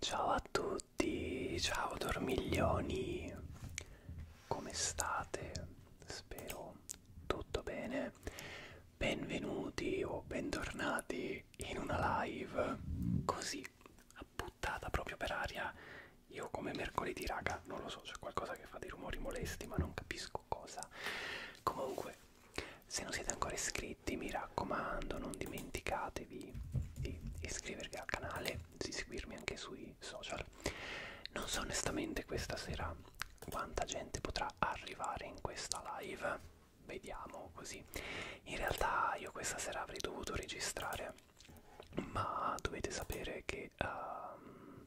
Ciao a tutti, ciao dormiglioni, come state? Spero tutto bene. Benvenuti o bentornati in una live così buttata proprio per aria. Io come mercoledì, raga, non lo so, c'è qualcosa che fa dei rumori molesti, ma non capisco cosa. Comunque, se non siete ancora iscritti, mi raccomando, non dimenticatevi di iscrivervi al canale, di seguirmi anche sui social. Non so onestamente questa sera quanta gente potrà arrivare in questa live. Vediamo così. In realtà io questa sera avrei dovuto registrare, ma dovete sapere che uh,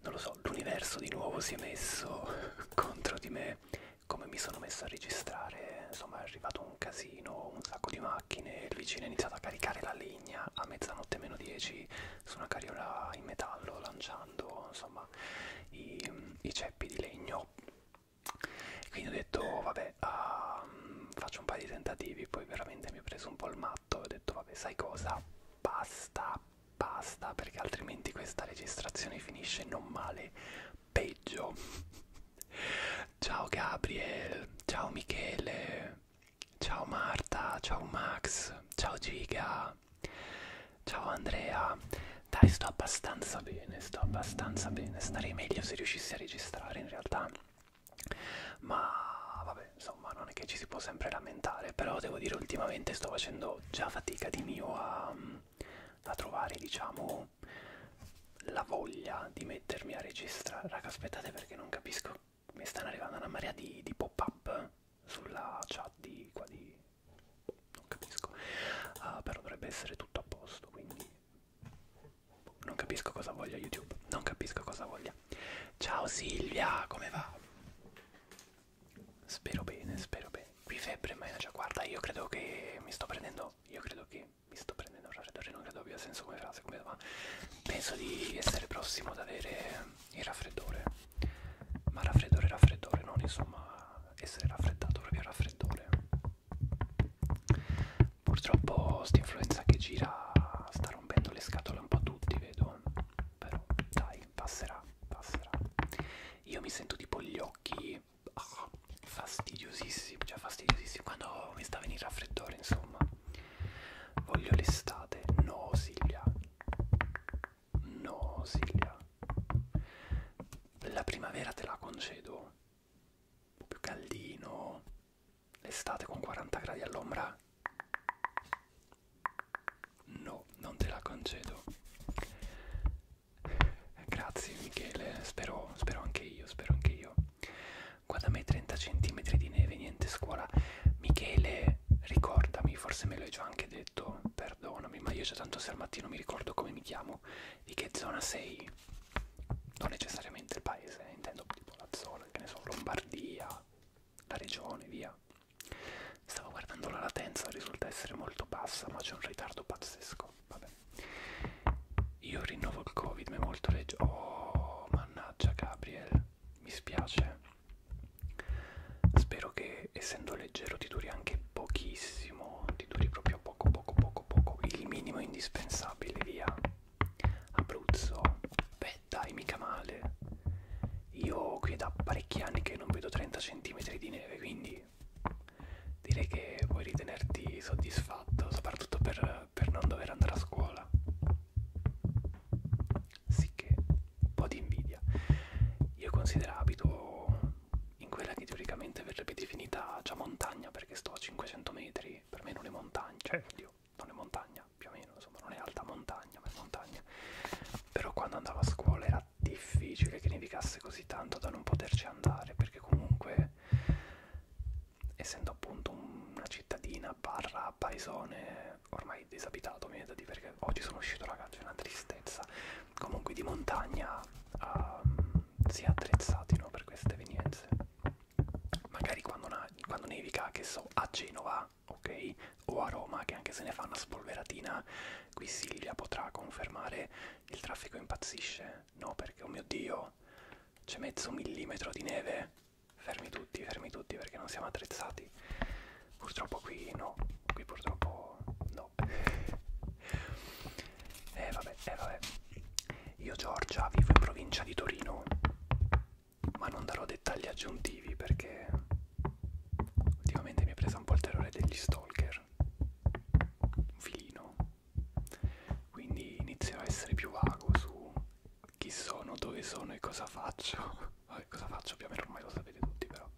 non lo so, l'universo di nuovo si è messo contro di me, come mi sono messo a registrare, insomma è arrivato un casino, un sacco di macchine, il vicino ha iniziato a caricare la legna a mezzanotte meno 10 su una carriola in metallo, lanciando insomma i, i ceppi di legno. Quindi ho detto, oh, vabbè, uh, faccio un paio di tentativi, poi veramente mi ho preso un po' il matto, ho detto, vabbè, sai cosa? Basta, basta perché altrimenti questa registrazione finisce non male, peggio. ciao Gabriel, ciao Michele, ciao Marta, ciao Max, ciao Giga, ciao Andrea. Dai, sto abbastanza bene, sto abbastanza bene. Starei meglio se riuscissi a registrare in realtà. Ma vabbè, insomma, non è che ci si può sempre lamentare, però devo dire ultimamente sto facendo faccio già fatica di mio a, a trovare diciamo la voglia di mettermi a registrare raga aspettate perché non capisco mi stanno arrivando una marea di, di pop up sulla chat di qua di non capisco uh, però dovrebbe essere tutto a posto quindi non capisco cosa voglia youtube non capisco cosa voglia ciao silvia come va Spero bene, spero bene. Qui febbre ma è già guarda, io credo che mi sto prendendo, io credo che mi sto prendendo un raffreddore, non credo abbia senso come frase, come va. Penso di essere prossimo ad avere il raffreddore. Ma raffreddore, raffreddore, non insomma essere raffreddato, proprio raffreddore. Purtroppo sta influenza che gira sta rompendo le scatole un po' a tutti, vedo però dai, passerà, passerà. Io mi sento tipo gli occhi ah, fastidiosissimi, cioè fastidiosissimi quando mi sta a venire raffreddore, insomma. Voglio l'estate, no Silvia, no Silvia. La primavera te la concedo, un po' più caldino, l'estate con 40 gradi all'ombra No, non te la concedo. Grazie Michele, spero, spero anche io, spero anche io. Guarda me 30 cm di neve, niente scuola. Michele, ricordami, forse me l'hai già anche detto, perdonami, ma io già tanto se al mattino mi ricordo come mi chiamo, di che zona sei. Non necessariamente il paese, eh, intendo tipo la zona, che ne so, Lombardia, la regione, via. Stavo guardando la latenza, risulta essere molto bassa, ma c'è un ritardo pazzesco. Vabbè. Io rinnovo il Covid, ma è molto leggero. Oh, mannaggia, Gabriel, mi spiace. Spero che essendo leggero ti duri anche pochissimo, ti duri proprio poco, poco, poco, poco. Il minimo indispensabile, via. Abruzzo, beh, dai, mica male. Io qui è da parecchi anni che non vedo 30 cm di neve, quindi direi che puoi ritenerti soddisfatto, soprattutto per, per non dover andare a scuola. Sì che un po' di invidia. Io considero abito in quella che teoricamente verrebbe definita già montagna, perché sto a 500 metri, per me non è montagna, cioè, oddio, non è montagna, più o meno, insomma non è alta montagna, ma è montagna. Però quando andavo a scuola era difficile che nevicasse così tanto da non poterci andare perché comunque essendo appunto una cittadina barra paesone ormai disabitato mi viene da dire perché oggi sono uscito ragazzi è una tristezza comunque di montagna um, si è attrezzati no, per queste evenienze magari quando, quando nevica che so a Genova ok o a Roma, che anche se ne fa una spolveratina, qui Silvia potrà confermare il traffico impazzisce. No, perché, oh mio Dio, c'è mezzo millimetro di neve. Fermi tutti, fermi tutti, perché non siamo attrezzati. Purtroppo qui no, qui purtroppo no. Eh vabbè, eh vabbè. Io Giorgia vivo in provincia di Torino, ma non darò dettagli aggiuntivi perché ultimamente mi è presa un po' il terrore degli stalker per un filino quindi inizio a essere più vago su chi sono, dove sono e cosa faccio Vabbè, cosa faccio più o meno ormai lo sapete tutti però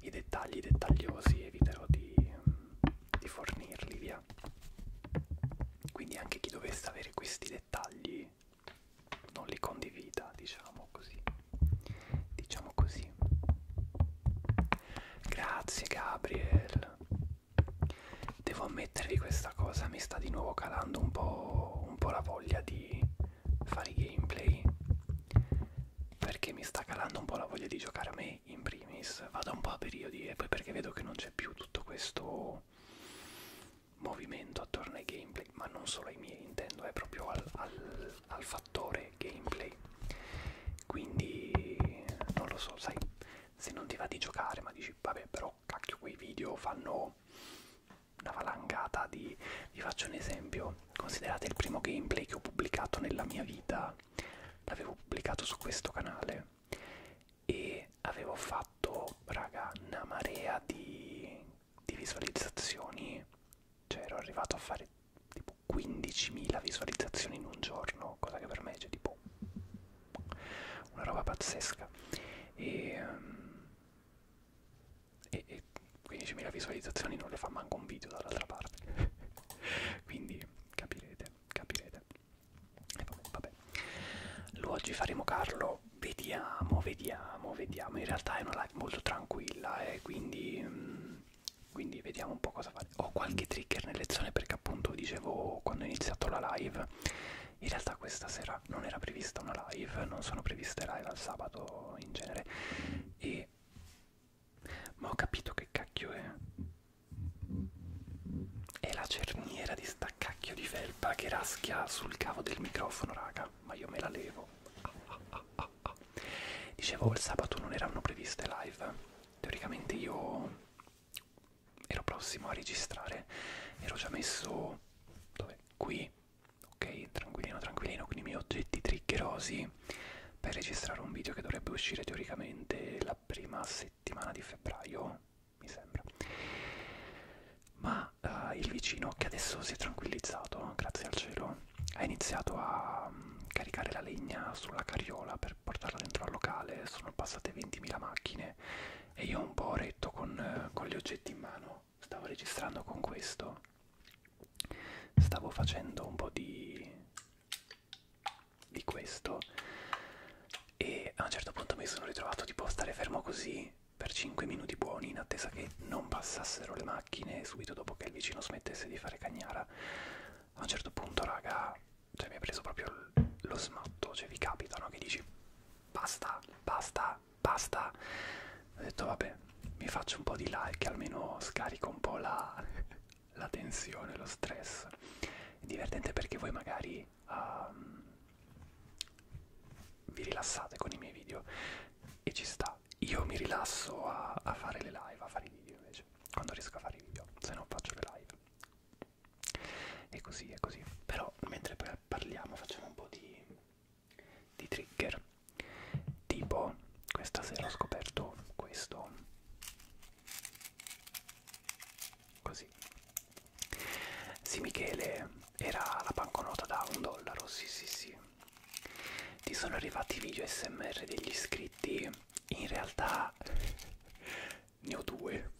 i dettagli dettagliosi eviterò di, di fornirli via quindi anche chi dovesse avere questi dettagli non li condivida diciamo così diciamo così grazie Gabriel devo ammettervi questa cosa mi sta di nuovo calando un po', un po la voglia di fare i gameplay perché mi sta calando un po' la voglia di giocare a me in primis vado un po' a periodi e poi perché vedo che non c'è più tutto questo movimento attorno ai gameplay ma non solo ai miei intendo è proprio al, al, al fatto fattore gameplay quindi non lo so sai se non ti va di giocare ma dici vabbè però cacchio quei video fanno una valangata di vi faccio un esempio considerate il primo gameplay che ho pubblicato nella mia vita l'avevo pubblicato su questo canale e avevo fatto raga una marea di di visualizzazioni, cioè ero arrivato a fare tipo 15.000 visualizzazioni in un giorno, cosa che per me è cioè, tipo una roba pazzesca. E, um, e, e 15.000 visualizzazioni non le fa manco un video dall'altra parte. Quindi capirete, capirete. E vabbè, vabbè. Lo oggi faremo Carlo, vediamo, vediamo, vediamo. In realtà è una live molto tranquilla e eh, quindi... Um, quindi vediamo un po' cosa fare ho qualche trigger nelle zone perché appunto dicevo quando ho iniziato la live in realtà questa sera non era prevista una live non sono previste live al sabato in genere e ma ho capito che cacchio è è la cerniera di sta cacchio di felpa che raschia sul cavo del microfono raga ma io me la levo ah, ah, ah ah, ah. Dicevo, il sabato non erano previste live. Teoricamente io ero prossimo a registrare, ero già messo dove? qui, ok, tranquillino, tranquillino, con i miei oggetti triggerosi per registrare un video che dovrebbe uscire teoricamente la prima settimana di febbraio, mi sembra. Ma uh, il vicino che adesso si è tranquillizzato, grazie al cielo, ha iniziato a mm, caricare la legna sulla carriola per portarla dentro al locale, sono passate 20.000 macchine e io un po' ho retto con, eh, con gli oggetti in mano, stavo registrando con questo, stavo facendo un po' di, di questo e a un certo punto mi sono ritrovato tipo a stare fermo così per 5 minuti buoni in attesa che non passassero le macchine macchine subito dopo che il vicino smettesse di fare cagnara a un certo punto raga cioè mi ha preso proprio lo smatto cioè vi capita no che dici basta basta basta ho detto vabbè mi faccio un po' di like almeno scarico un po' la, la tensione lo stress è divertente perché voi magari um, vi rilassate con i miei video e ci sta qua io mi rilasso a, a fare le live, a fare i video invece, quando riesco a fare i video, se non faccio le live. E così, è così. Però mentre parliamo facciamo un po' di, di trigger. Tipo, questa sera ho scoperto questo. Così. Sì Michele, era la banconota da un dollaro, sì sì sì ti sono arrivati video smr degli iscritti in realtà ne ho due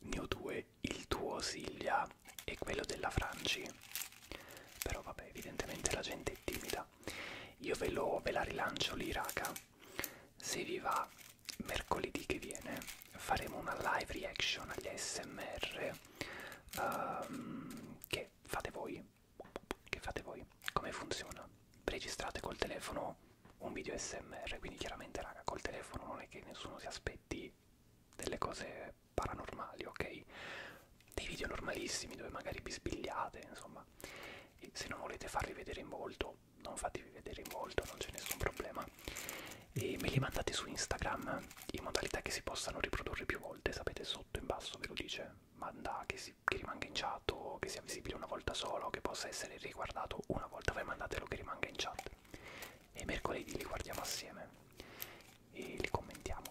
ne ho due il tuo Silvia e quello della Franci però vabbè evidentemente la gente è timida io ve, lo, ve la rilancio lì raga se vi va mercoledì che viene faremo una live reaction agli smr um, ehm, che fate voi che fate voi? Come funziona? Registrate col telefono un video smr, quindi chiaramente raga col telefono non è che nessuno si aspetti delle cose paranormali, ok? Dei video normalissimi dove magari bisbigliate, insomma. E se non volete farvi vedere in volto, non fatevi vedere in volto, non c'è nessun problema. E me li mandate su Instagram in modalità che si possano riprodurre più volte, sapete sotto in basso ve lo dice manda che, si, che rimanga in chat o che sia visibile una volta sola o che possa essere riguardato una volta, voi mandatelo che rimanga in chat e mercoledì li guardiamo assieme e li commentiamo.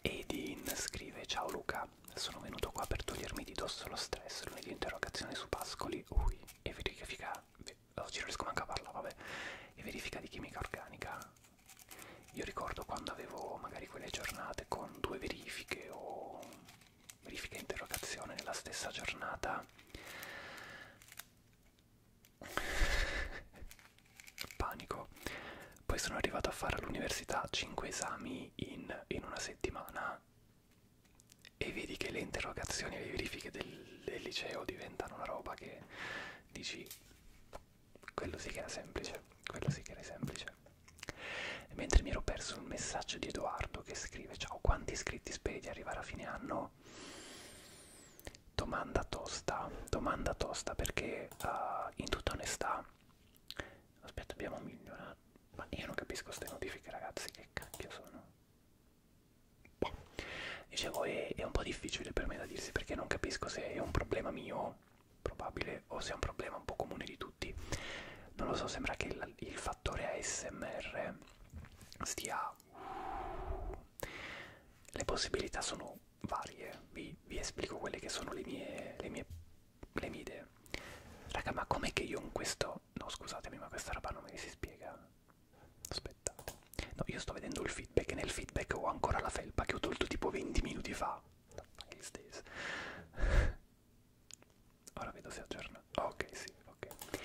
Edin scrive ciao Luca, sono venuto qua per togliermi di dosso lo stress, lunedì interrogazione su Pascoli, ui, e verifica, oggi oh, non riesco manco a parlare, vabbè, e verifica di chimica organica io ricordo quando avevo magari quelle giornate con due verifiche o verifiche e interrogazione nella stessa giornata. Panico. Poi sono arrivato a fare all'università 5 esami in, in una settimana e vedi che le interrogazioni e le verifiche del, del liceo diventano una roba che dici quello sì che era semplice, quello sì che era semplice. E mentre mi ero perso un messaggio di Edoardo che scrive: Ciao, quanti iscritti speri di arrivare a fine anno? Domanda tosta, domanda tosta perché uh, in tutta onestà. Aspetta, abbiamo migliorato. Eh, ma io non capisco queste notifiche, ragazzi, che cacchio sono. Boh. Dicevo, è, è un po' difficile per me da dirsi perché non capisco se è un problema mio probabile o se è un problema un po' comune di tutti non lo so sembra che il, il fattore ASMR stia le possibilità sono varie vi, vi esplico quelle che sono le mie le mie, le mie idee raga ma com'è che io in questo no scusatemi ma questa roba non me si spiega aspettate no io sto vedendo il feedback e nel feedback ho ancora la felpa che ho tolto tipo 20 minuti fa anche gli Stays. Ora vedo se aggiorna. Ok, sì, ok.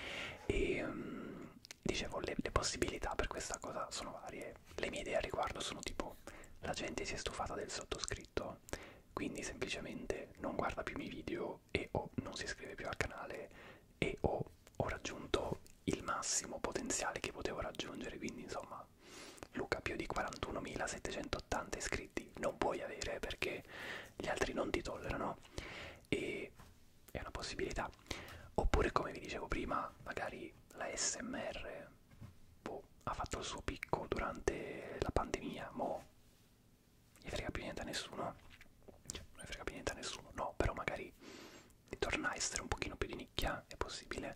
E um, dicevo, le, le possibilità per questa cosa sono varie. Le mie idee al riguardo sono tipo, la gente si è stufata del sottoscritto, quindi semplicemente non guarda più i miei video e o non si iscrive più al canale e o ho raggiunto il massimo potenziale che potevo raggiungere, quindi insomma ma Luca più di 41.780 iscritti non puoi avere perché gli altri non ti tollerano e è una possibilità. Oppure come vi dicevo prima, magari la SMR boh, ha fatto il suo picco durante la pandemia, mo gli frega più niente a nessuno, cioè non gli frega più niente a nessuno, no, però magari torna a essere un pochino più di nicchia è possibile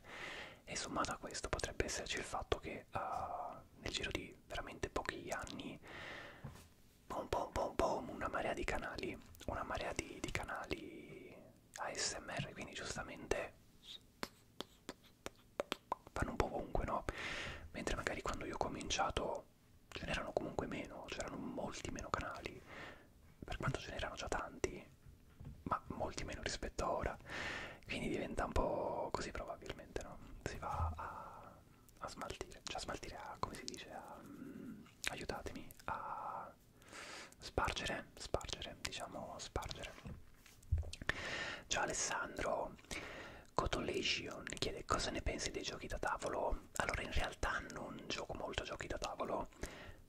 e sommato a questo potrebbe esserci il fatto che uh, nel giro di veramente pochi anni boom boom boom boom una marea di canali una marea di, di canali ASMR quindi giustamente vanno un po' ovunque no? mentre magari quando io ho cominciato ce n'erano comunque meno c'erano molti meno canali per quanto ce n'erano già tanti ma molti meno rispetto a ora, quindi diventa un po' così probabilmente, no? Si va a, a smaltire, cioè a smaltire, a, come si dice, a, um, aiutatemi, a spargere, spargere, diciamo spargere. Ciao Alessandro, Cotolation chiede cosa ne pensi dei giochi da tavolo? Allora in realtà non gioco molto a giochi da tavolo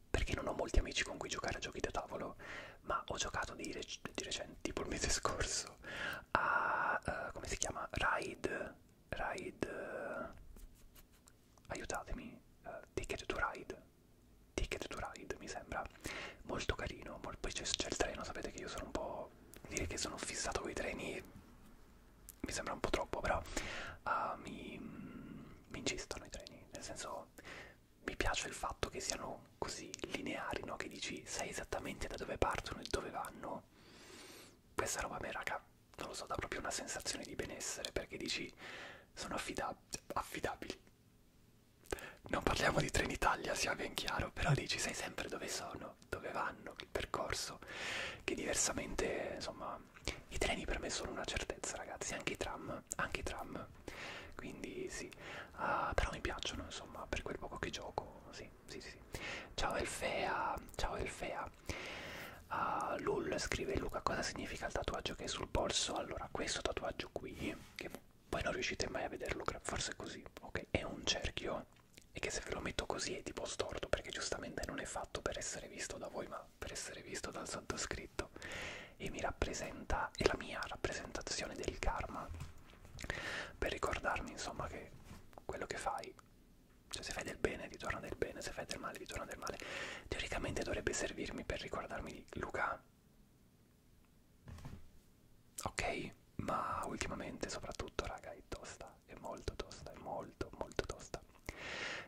perché non ho molti amici con cui giocare a giochi da tavolo ma ho giocato di, rec di recente, tipo il mese scorso, a, uh, come si chiama, Ride, Ride, uh, aiutatemi, uh, Ticket to Ride, Ticket to Ride mi sembra, molto carino, mol poi c'è il treno, sapete che io sono un po', dire che sono fissato con i treni mi sembra un po' troppo, però uh, mi, mm, mi incistano i treni, nel senso mi piace il fatto che siano così lineari, no? Che dici sai esattamente da dove partono e dove vanno. Questa roba a me, raga, non lo so, dà proprio una sensazione di benessere perché dici sono affidab affidabili. Non parliamo di Trenitalia, sia ben chiaro, però dici sai sempre dove sono, dove vanno, il percorso, che diversamente, insomma, i treni per me sono una certezza, ragazzi, anche i tram tram, anche i tram, quindi sì, uh, però mi piacciono insomma per quel poco che gioco, sì, sì, sì. Ciao Elfea, ciao Elfea. Uh, Lul scrive Luca cosa significa il tatuaggio che è sul polso? Allora, questo tatuaggio qui, che poi non riuscite mai a vederlo, forse così, ok, è un cerchio e che se ve lo metto così è tipo storto perché giustamente non è fatto per essere visto da voi ma per essere visto dal sottoscritto scritto e mi rappresenta, è la mia rappresentazione del karma per ricordarmi insomma che quello che fai cioè se fai del bene ritorna del bene, se fai del male ritorna del male. Teoricamente dovrebbe servirmi per ricordarmi di Luca. Ok, ma ultimamente soprattutto raga è tosta, è molto tosta, è molto molto tosta.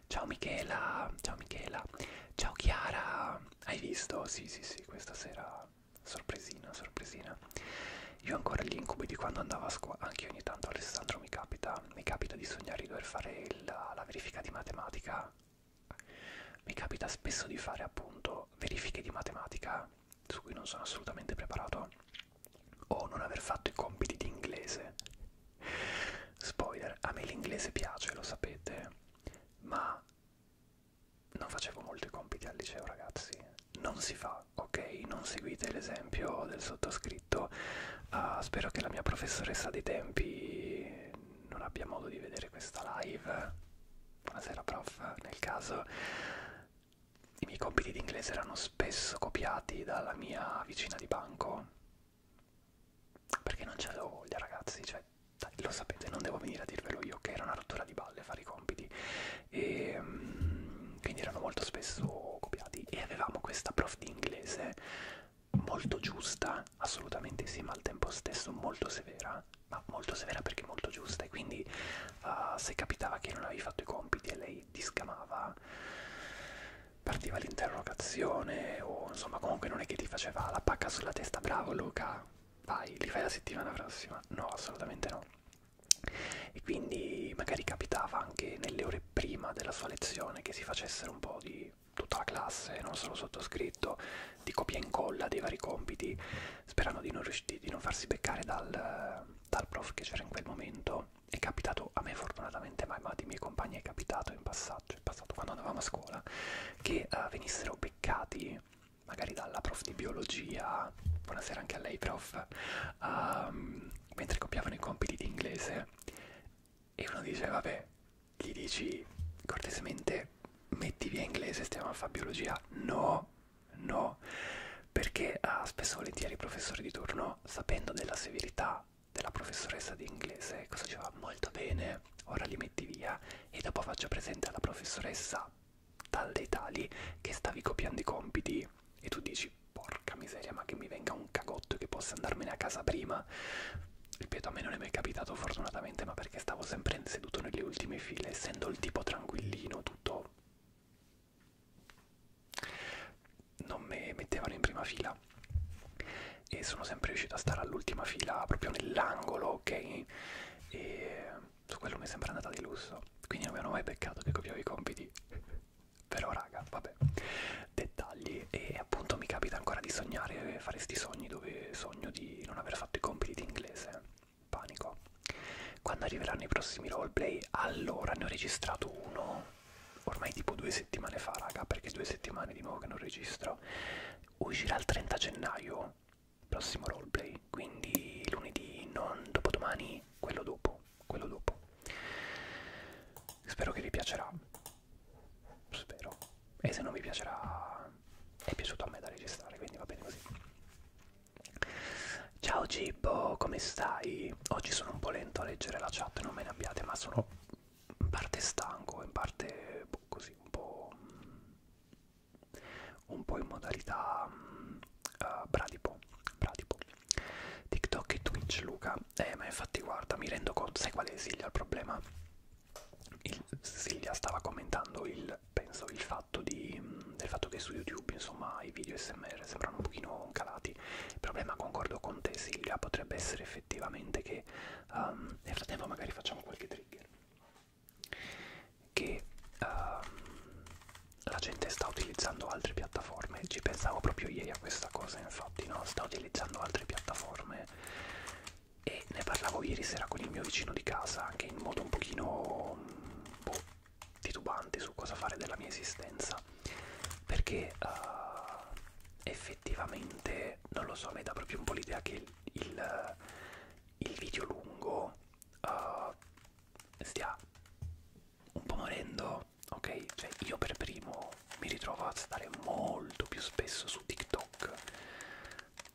Ciao Michela, ciao Michela, ciao Chiara, hai visto? Sì sì sì, questa sera sorpresina, sorpresina. Io ancora gli incubi di quando andavo a scuola, anche ogni tanto Alessandro mi capita, mi capita di sognare di dover fare la, la verifica di matematica, mi capita spesso di fare appunto verifiche di matematica su cui non sono assolutamente preparato o non aver fatto i compiti di inglese. Spoiler, a me l'inglese piace, lo sapete, ma non facevo molto i compiti al liceo ragazzi, non si fa, ok? Non seguite l'esempio del sottoscritto, uh, spero che la mia professoressa dei tempi non abbia modo di vedere questa live, buonasera prof, nel caso i miei compiti di inglese erano spesso copiati dalla mia vicina di banco perché non c'avevo voglia ragazzi, cioè cioè dai, lo sapete, non devo venire a dirvelo io che era una rottura di balle fare i compiti e um, quindi erano molto spesso copiati e avevamo questa prof di inglese molto giusta, assolutamente sì, ma al tempo stesso molto severa, ma molto severa perché molto giusta e quindi uh, se capitava che non avevi fatto i compiti e lei ti scamava partiva l'interrogazione o insomma comunque non è che ti faceva la pacca sulla testa bravo Luca vai, li fai la settimana prossima? No, assolutamente no. E quindi magari capitava anche nelle ore prima della sua lezione che si facessero un po' di tutta la classe, non solo sottoscritto, di copia e incolla dei vari compiti, sperando di non, di non farsi beccare dal, dal prof che c'era in quel momento. È capitato a me fortunatamente, ma ai miei compagni è capitato in passaggio, in passato quando andavamo a scuola, che uh, venissero beccati magari dalla prof di biologia, buonasera anche a lei prof, um, mentre copiavano i compiti di inglese e uno dice vabbè, gli dici cortesemente metti via inglese, stiamo a fare biologia, no, no, perché ah, spesso volentieri il professore di turno, sapendo della severità della professoressa di inglese, cosa diceva molto bene, ora li metti via e dopo faccio presente alla professoressa dalle tali che stavi copiando i compiti e tu dici porca miseria ma che mi venga un cagotto che possa andarmene a casa prima ripeto a me non è mai capitato fortunatamente ma perché stavo sempre seduto nelle ultime file essendo il tipo tranquillino tutto non me mettevano in prima fila e sono sempre riuscito a stare all'ultima fila proprio nell'angolo ok e su quello mi sembra andata di lusso quindi non mi hanno mai beccato che copiavo i compiti però raga vabbè dettagli e appunto mi capita ancora di sognare fare sti sogni dove sogno di non aver fatto i compiti di inglese panico quando arriveranno i prossimi roleplay allora ne ho registrato uno ormai tipo due settimane fa raga perché due settimane di nuovo che non registro uscirà il 30 gennaio prossimo roleplay, quindi lunedì, non dopodomani, quello dopo, quello dopo. Spero che vi piacerà, spero, e se non vi piacerà è piaciuto a me da registrare, quindi va bene così. Ciao Gibbo, come stai? Oggi sono un po' lento a leggere la chat, non me ne abbiate, ma sono in parte stanco, in parte boh, così un po' un po' in modalità um, uh, bradipo, bradipo TikTok e Twitch Luca eh ma infatti guarda mi rendo conto sai qual è Silvia il problema il, Silvia stava commentando il penso il fatto di, mm, del fatto che su YouTube insomma i video smr sembrano un pochino calati il problema concordo con te Silvia potrebbe essere effettivamente che um, nel frattempo magari facciamo qualche trigger che um, la gente sta utilizzando altre piattaforme. Ci pensavo proprio ieri a questa cosa, infatti, no? Sta utilizzando altre piattaforme e ne parlavo ieri sera con il mio vicino di casa, anche in modo un pochino boh, titubante su cosa fare della mia esistenza, perché uh, effettivamente non lo so, mi dà proprio un po' l'idea che il, il, il video lungo uh, stia un po' morendo, ok? Cioè io per primo mi ritrovo a stare molto più spesso su TikTok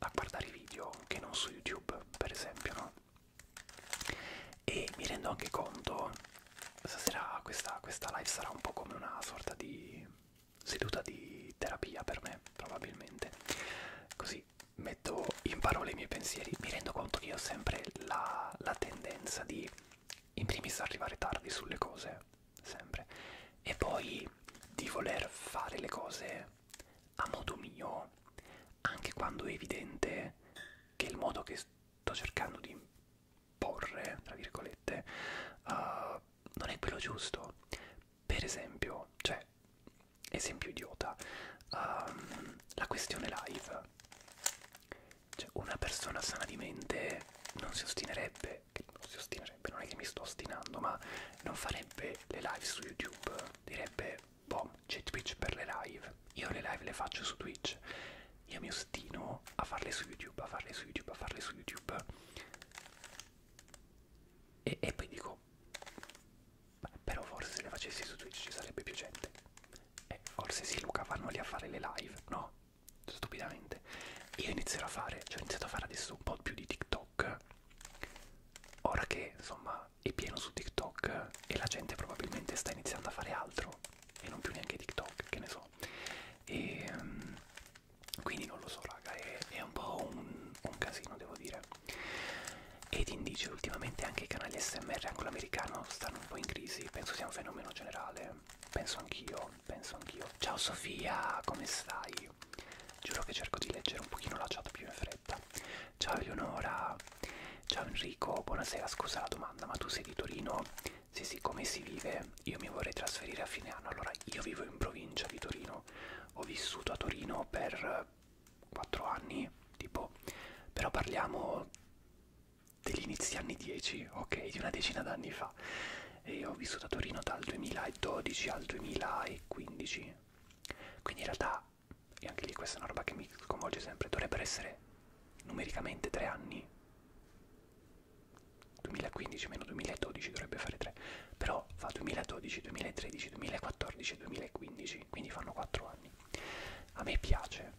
a guardare i video che non su YouTube, per esempio, no? E mi rendo anche conto, stasera questa, questa live sarà un po' come una sorta di seduta di terapia per me, probabilmente. Così metto in parole i miei pensieri, mi rendo conto che io ho sempre la, la tendenza di in primis arrivare tardi sulle cose, sempre, e poi di voler fare le cose a modo mio, anche quando è evidente che il modo che sto cercando di imporre, tra virgolette, uh, non è quello giusto, per esempio, cioè, esempio idiota, um, la questione live. Cioè, una persona sana di mente non si ostinerebbe, che non si ostinerebbe, non è che mi sto ostinando, ma non farebbe le live su YouTube, direbbe, boh, c'è Twitch per le live, io le live le faccio su Twitch, io mi ostino a farle su YouTube, a farle su YouTube, a farle su YouTube. E, e poi dico, no però forse se le facessi su Twitch ci sarebbe più gente eh, forse sì Luca vanno lì a fare le live no stupidamente io inizierò a fare cioè ho iniziato a fare adesso un po' più di TikTok ora che insomma è pieno su TikTok e la gente probabilmente sta iniziando a fare altro e non più neanche TikTok che ne so e ehm, quindi non lo so raga è, è un po' un, un casino devo dire ed indice ultimamente anche i canali SMR anglo-americano stanno un po' in crisi, penso sia un fenomeno generale, penso anch'io, penso anch'io. Ciao Sofia, come stai? Giuro che cerco di leggere un pochino la chat più in fretta. Ciao Eleonora, ciao Enrico, buonasera, scusa la domanda, ma tu sei di Torino? Sì sì, come si vive? Io mi vorrei trasferire a fine anno, allora io vivo in provincia di Torino, ho vissuto a Torino per 4 anni, tipo, però parliamo degli inizi anni 10, ok, di una decina d'anni fa. E io ho vissuto a Torino dal 2012 al 2015. Quindi in realtà, e anche lì questa è una roba che mi sconvolge sempre, dovrebbero essere numericamente 3 anni. 2015 meno 2012 dovrebbe fare 3, però fa 2012, 2013, 2014, 2014-2015, quindi fanno 4 anni. A me piace.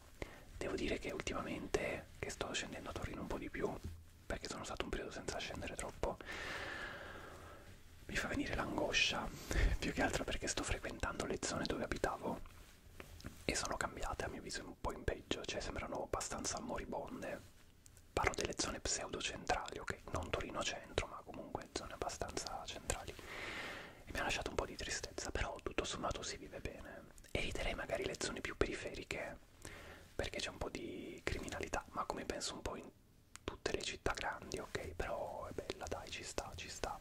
Devo dire che ultimamente che sto scendendo a Torino un po' di più, perché sono stato un periodo senza scendere troppo, mi fa venire l'angoscia, più che altro perché sto frequentando le zone dove abitavo e sono cambiate a mio avviso un po' in peggio, cioè sembrano abbastanza moribonde. Parlo delle zone pseudo-centrali, ok? Non Torino centro, ma comunque zone abbastanza centrali. E mi ha lasciato un po' di tristezza, però tutto sommato si vive bene. Eviterei magari le zone più periferiche perché c'è un po' di criminalità, ma come penso un po' in tutte le città grandi, ok? Però è bella, dai, ci sta, ci sta.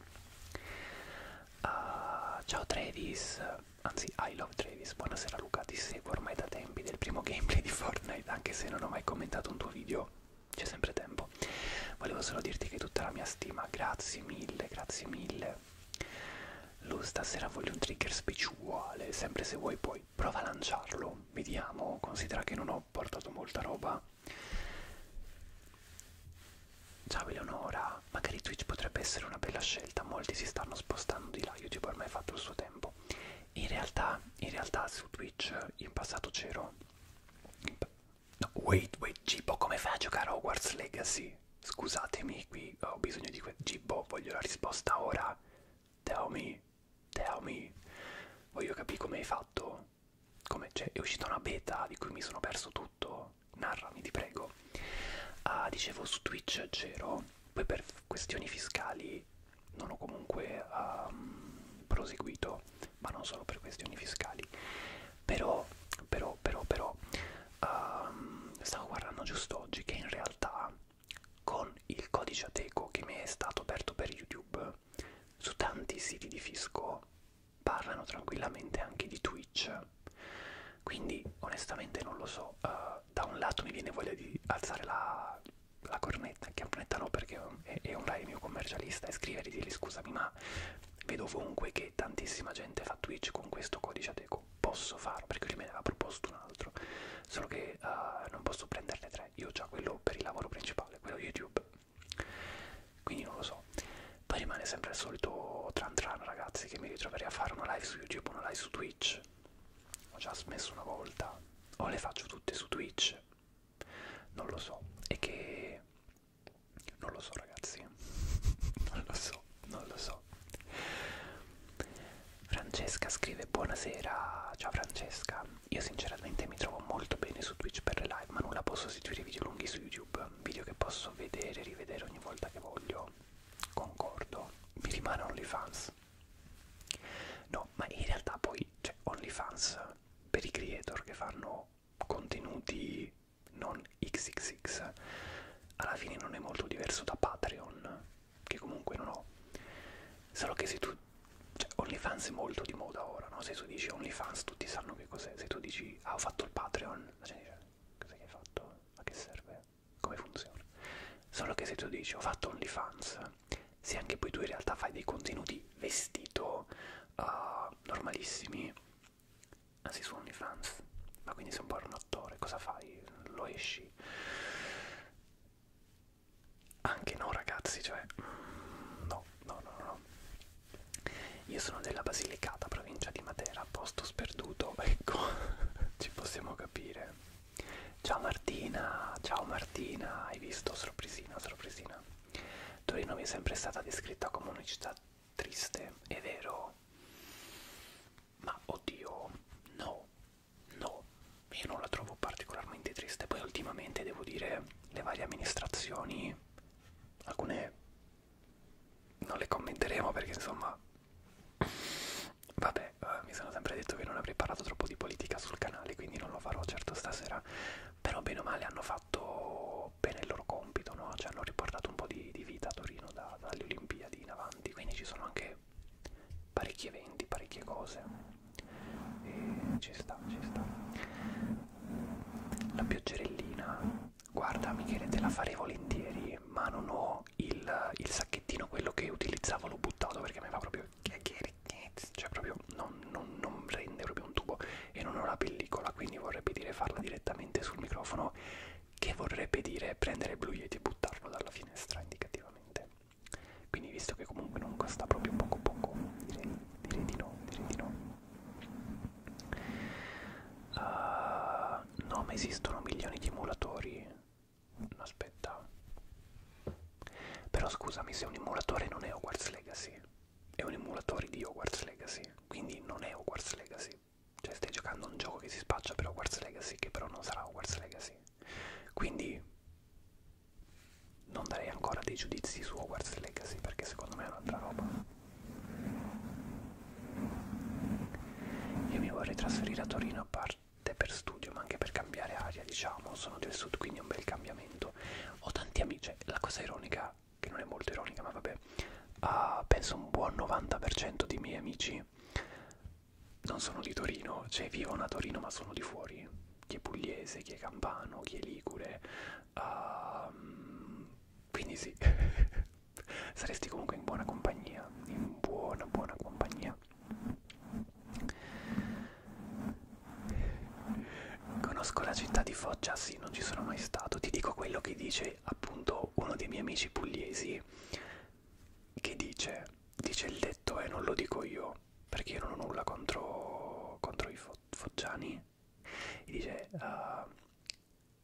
Uh, ciao Travis, anzi I love Travis, buonasera Luca, ti seguo ormai da tempi del primo gameplay di Fortnite, anche se non ho mai commentato un tuo video c'è sempre tempo. Volevo solo dirti che tutta la mia stima, grazie mille, grazie mille. Lo stasera voglio un trigger speciale, sempre se vuoi poi prova a lanciarlo, vediamo, considera che non ho portato molta roba. Ciao Eleonora, magari Twitch potrebbe essere una bella scelta, molti si stanno spostando di là, YouTube ormai ha fatto il suo tempo. In realtà, in realtà su Twitch in passato c'ero, No, wait, wait, Gibbo, come fai a giocare a Hogwarts Legacy? Scusatemi, qui ho bisogno di... Gibbo, voglio la risposta ora. Tell me, tell me. Voglio capire come hai fatto. Come, cioè, è uscita una beta di cui mi sono perso tutto. Narrami, ti prego. Ah, dicevo, su Twitch c'ero. Poi per questioni fiscali non ho comunque um, proseguito ma non solo per questioni fiscali. Però, però, però, però, um, stavo guardando giusto oggi che in realtà con il codice ateco che mi è stato aperto per YouTube, su tanti siti di fisco parlano tranquillamente anche di Twitch. Quindi onestamente non lo so, uh, da un lato mi viene voglia di alzare la, la cornetta pianeta, anche a un pianeta no perché è, è online il mio commercialista e scrivere e dirgli scusami ma vedo ovunque che tantissima gente fa Twitch con questo codice ateco, posso farlo perché lui me ne aveva proposto un altro, solo che uh, non posso prenderne tre, io ho già quello per il lavoro principale, quello YouTube, quindi non lo so. Poi rimane sempre il solito tran tran ragazzi che mi ritroverei a fare una live su YouTube, una live su Twitch, ho già smesso una volta, o le faccio tutte su Twitch non lo so e che non lo so ragazzi non lo so non lo so Francesca scrive buonasera ciao Francesca io sinceramente mi trovo molto bene su Twitch per le live ma non la posso sostituire i video lunghi su YouTube video che posso vedere e rivedere ogni volta che voglio concordo mi rimane OnlyFans no ma in realtà poi c'è cioè, OnlyFans per i creator che fanno contenuti non xxx alla fine non è molto diverso da Patreon che comunque non ho solo che se tu cioè OnlyFans è molto di moda ora no? se tu dici OnlyFans tutti sanno che cos'è se tu dici ah ho fatto il Patreon la gente dice cosa hai fatto? a che serve? come funziona? solo che se tu dici ho fatto OnlyFans se anche poi tu in realtà fai dei contenuti vestito uh, normalissimi anzi ah, su OnlyFans ma quindi sei un po' un attore cosa fai? lo esci? anche no ragazzi cioè no no no no io sono della Basilicata provincia di Matera posto sperduto ecco ci possiamo capire ciao Martina ciao Martina hai visto sorpresina sorpresina Torino mi è sempre stata descritta come una città triste, è vero? Ma oddio, no, no, io non la trovo particolarmente triste. Poi ultimamente devo dire le varie amministrazioni, alcune non le commenteremo perché insomma... Vabbè, eh, mi sono sempre detto che non avrei parlato troppo di politica sul canale, quindi non lo farò certo stasera però bene o male hanno fatto bene il loro compito, no? cioè hanno riportato un po' di, di vita a Torino da, dalle Olimpiadi in avanti, quindi ci sono anche parecchi eventi, parecchie cose e ci sta, ci sta. La pioggerellina, guarda Michele te la farei volentieri, ma non ho il, il sacchettino, quello che utilizzavo l'ho buttato perché mi fa proprio cioè proprio non, non, non rende proprio un tubo e non ho la pellicola quindi vorrebbe dire farla direttamente sul microfono che vorrebbe dire prendere il Blue Yeti e buttarlo dalla finestra indicativamente quindi visto che comunque non costa proprio poco poco direi, direi di no direi di no uh, no ma esistono milioni di emulatori no, aspetta però scusami se un emulatore non è Hogwarts Legacy è un emulatore di Hogwarts Legacy, quindi non è Hogwarts Legacy. Cioè stai giocando a un gioco che si spaccia per Hogwarts Legacy, che però non sarà Hogwarts Legacy. Quindi non darei ancora dei giudizi su Hogwarts Legacy, perché secondo me è un'altra roba. Io mi vorrei trasferire a Torino a parte per studio, ma anche per cambiare aria, diciamo. Sono del sud, quindi è un bel cambiamento. Ho tanti amici, cioè, la cosa ironica che non è molto ironica, ma vabbè, uh, penso un buon 90% dei miei amici non sono di Torino, cioè vivono a Torino ma sono di fuori, chi è pugliese, chi è campano, chi è ligure, uh, quindi sì, saresti comunque in buona compagnia, in buona buona compagnia. Conosco la città di Foggia, sì, non ci sono mai stato. Ti dico quello che dice appunto uno dei miei amici pugliesi, che dice, dice il detto e eh, non lo dico io, perché io non ho nulla contro, contro i fo foggiani. E dice, uh,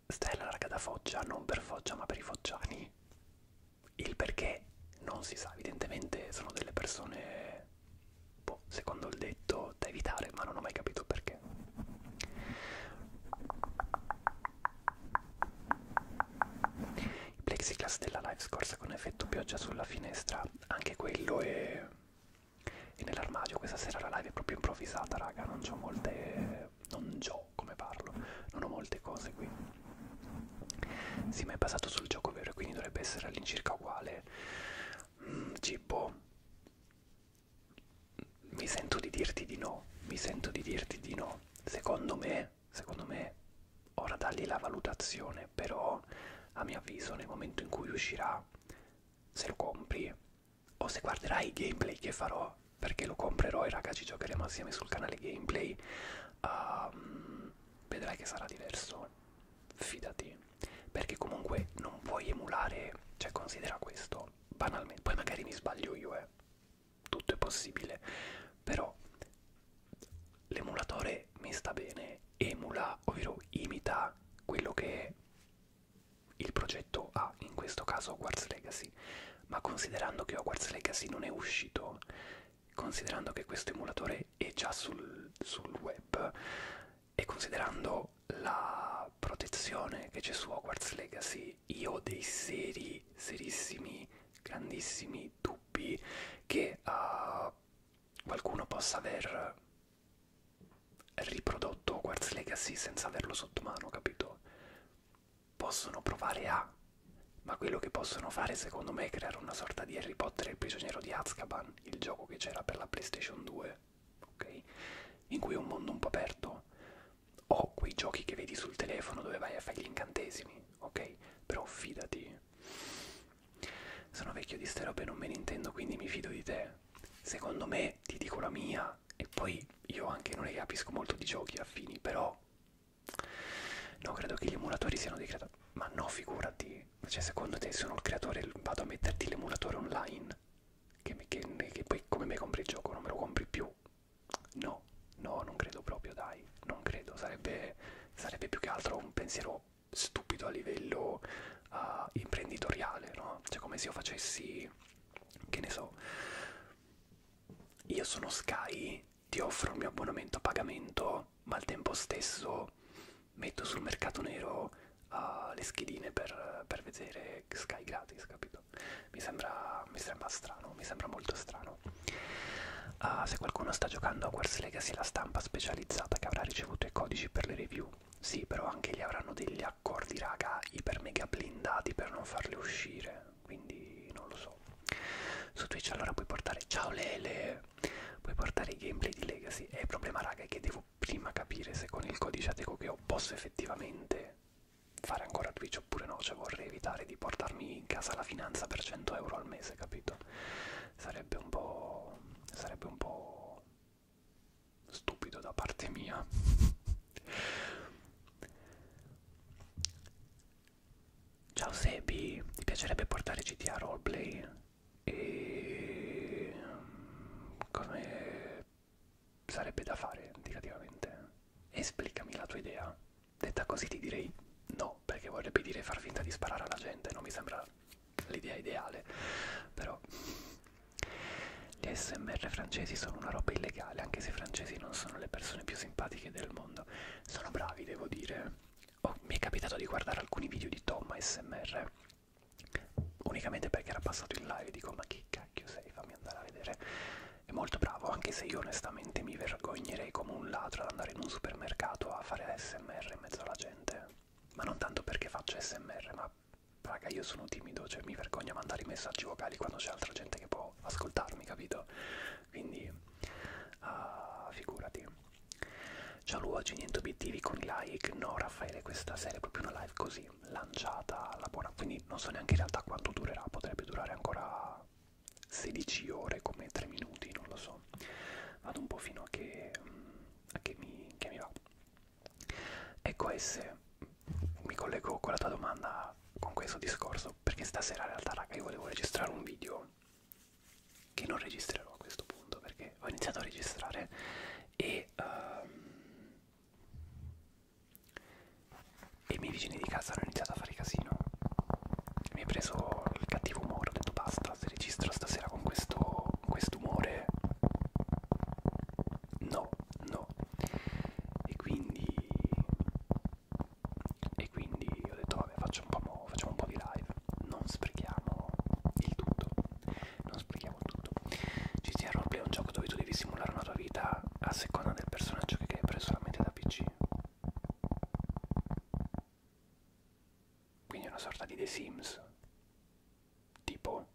stai alla raga da Foggia, non per Foggia ma per i foggiani. Il perché non si sa, evidentemente sono delle persone boh, secondo il detto da evitare, ma non ho mai capito perché. Il plexiglass della live scorsa con effetto pioggia sulla finestra, anche quello è, è nell'armadio. Questa sera la live è proprio improvvisata, raga, non ho molte... non ho come parlo, non ho molte cose qui. Sì, ma è basato sul gioco vero, quindi dovrebbe essere all'incirca uguale. Mm, tipo mi sento di dirti di no, mi sento di dirti di no. Secondo me, secondo me, ora dagli la valutazione, però a mio avviso nel momento in cui uscirà, se lo compri o se guarderai i gameplay che farò, perché lo comprerò e raga ci giocheremo assieme sul canale gameplay, um, vedrai che sarà diverso, fidati perché comunque non puoi emulare, cioè considera questo, banalmente, poi magari mi sbaglio io, eh, tutto è possibile, però l'emulatore mi sta bene, emula, ovvero imita quello che il progetto ha, in questo caso Hogwarts Legacy, ma considerando che Hogwarts Legacy non è uscito, considerando che questo emulatore è già sul, sul web e considerando la protezione che c'è su Hogwarts Legacy io ho dei seri, serissimi, grandissimi dubbi che uh, qualcuno possa aver riprodotto Hogwarts Legacy senza averlo sotto mano, capito? Possono provare a, ma quello che possono fare secondo me è creare una sorta di Harry Potter e il prigioniero di Azkaban, il gioco che c'era per la PlayStation 2 ok? In cui è un mondo un po' aperto. Ho quei giochi che vedi sul telefono dove vai a fare gli incantesimi, ok? Però fidati. Sono vecchio di ste robe, non me ne intendo, quindi mi fido di te. Secondo me ti dico la mia e poi io anche non ne capisco molto di giochi affini, però no, credo che gli emulatori siano dei creatori. Ma no, figurati. Cioè, secondo te sono il creatore vado a metterti l'emulatore online? che, che, che poi come me compri il gioco non me lo compri più no no non credo proprio dai non credo sarebbe, sarebbe più che altro un pensiero stupido a livello uh, imprenditoriale no cioè come se io facessi che ne so io sono Sky ti offro il mio abbonamento a pagamento ma al tempo stesso metto sul mercato nero uh, le schedine per, per vedere Sky gratis, capito? Mi sembra, mi sembra strano, mi sembra molto strano. Uh, se qualcuno sta giocando a Wars Legacy, la stampa specializzata che avrà ricevuto i codici per le review. Sì, però anche gli avranno degli accordi, raga, iper mega blindati per non farle uscire, quindi non lo so. Su Twitch allora puoi portare... Ciao Lele! Puoi portare i gameplay di Legacy. E eh, il problema, raga, è che devo devo prima capire se con il codice ateco che ho posso effettivamente fare ancora Twitch oppure no, cioè vorrei evitare di portarmi in casa la finanza per 100 euro al mese, capito? Sarebbe un po'... sarebbe un po' stupido da parte mia. Ciao Sebi, ti piacerebbe portare GTA Roleplay? E... come sarebbe da fare indicativamente. Esplicami la tua idea. Detta così ti direi no, perché vorrebbe dire far finta di sparare alla gente, non mi sembra l'idea ideale. Però gli ASMR francesi sono una roba illegale, anche se i francesi non sono le persone più simpatiche del mondo. Sono bravi, devo dire. Oh, mi è capitato di guardare alcuni video di Tom ASMR unicamente perché era passato in live dico ma che cacchio sei fammi andare a vedere è molto bravo anche se io onestamente mi vergognerei come un ladro ad andare in un supermercato a fare smr in mezzo alla gente ma non tanto perché faccio smr ma raga io sono timido cioè mi vergogno a mandare i messaggi vocali quando c'è altra gente che può ascoltarmi capito quindi uh, figurati ciao luogi niente obiettivi con i like no Raffaele questa sera è proprio una live così lanciata la buona quindi non so neanche in realtà quanto durerà potrebbe durare ancora 16 ore come 3 minuti non lo so vado un po' fino a che, a che, mi, che mi va ecco se mi collego con la tua domanda con questo discorso perché stasera in realtà raga io volevo registrare un video che non registrerò a questo punto perché ho iniziato a registrare e um, e i miei vicini di casa hanno iniziato a fare casino mi è preso il cattivo umore ho detto basta se registro stasera con questo quest'umore no no e quindi e quindi ho detto vabbè facciamo un po', facciamo un po di live non sprechiamo il tutto non spieghiamo tutto. GTA Roleplay è un gioco dove tu devi simulare una tua vita a seconda del personaggio che hai preso solamente da PC. Quindi è una sorta di The Sims. Tipo...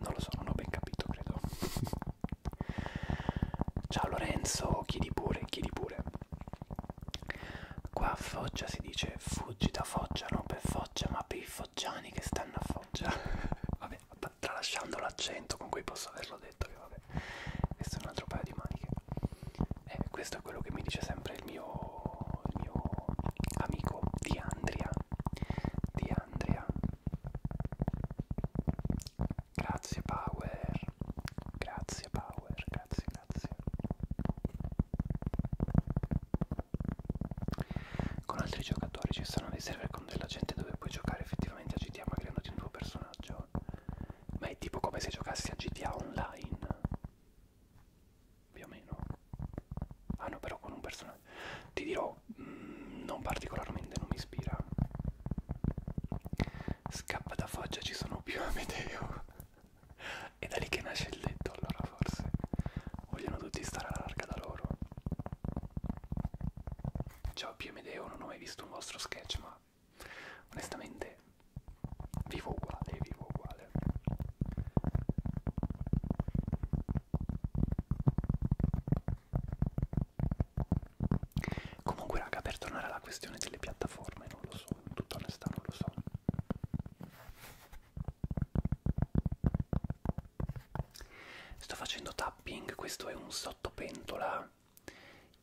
Non lo so, non ho ben capito, credo. Ciao Lorenzo, chiedi pure, chiedi pure. Qua a Foggia si dice fuggi da Foggia, non per Foggia, ma per i foggiani che stanno a Foggia. vabbè, tralasciando l'accento con cui posso averlo detto, che vabbè, questo è un altro paio di maniche. E eh, questo è quello che mi dice sempre il mio, il mio amico Di Andria. Di Andria. Grazie Power, grazie Power, grazie, ragazzi con altri giocatori ci sono dei server con della gente dove puoi giocare effettivamente a GTA ma creandoti un tuo personaggio ma è tipo come se giocassi a GTA online più o meno ah no però con un personaggio ti dirò mm, non particolarmente non mi ispira scappa da foggia ci sono più Amedeo è da lì che nasce il detto, allora forse vogliono tutti stare alla larga da loro. Ciao Piomedeo, non ho mai visto un vostro sketch, ma onestamente vivo uguale, vivo uguale. Comunque raga, per tornare alla questione delle piattaforme, non lo so, in tutta onestà non lo so. Sto facendo tapping, questo è un sottopentola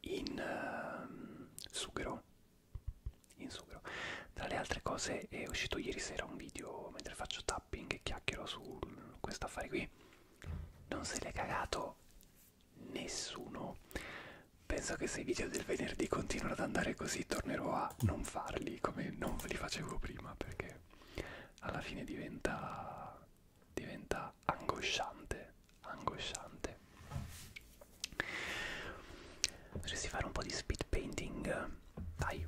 in uh, sughero. In sughero. Tra le altre cose è uscito ieri sera un video mentre faccio tapping e chiacchiero su questo affare qui. Non se l'è cagato nessuno. Penso che se i video del venerdì continuano ad andare così tornerò a a non farli come non li facevo prima perché alla fine diventa diventa angosciante angosciante potresti fare un po' di speed painting dai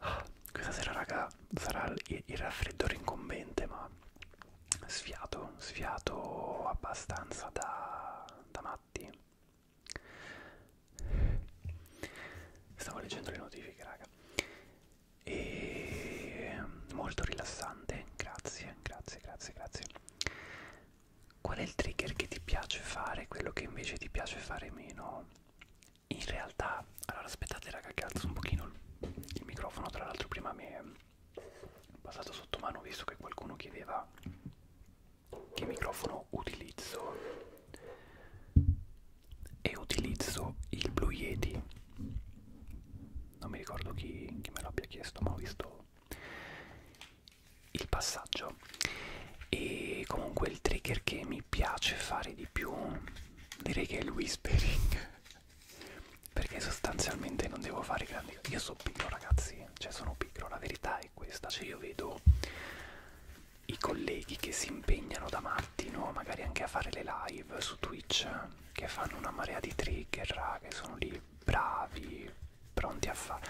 Ah, questa sera raga sarà il, il raffreddore incombente ma sfiato, sfiato abbastanza da, da matti. Stavo leggendo le notifiche raga e ehm, molto rilassante grazie grazie grazie grazie qual è il trigger che ti piace fare quello che invece ti piace fare meno in realtà allora aspettate raga che alzo un pochino il, il microfono tra l'altro prima mi è passato sotto mano visto che qualcuno chiedeva che microfono utilizzo e utilizzo il Blue Yeti non mi ricordo chi, chi me l'abbia chiesto, ma ho visto il passaggio. E comunque il trigger che mi piace fare di più direi che è il whispering. Perché sostanzialmente non devo fare grandi cose. Io sono pigro, ragazzi, cioè sono pigro, la verità è questa, cioè io vedo i colleghi che si impegnano da matti, no? magari anche a fare le live su Twitch che fanno una marea di trigger, raga, che sono lì bravi, pronti a fare.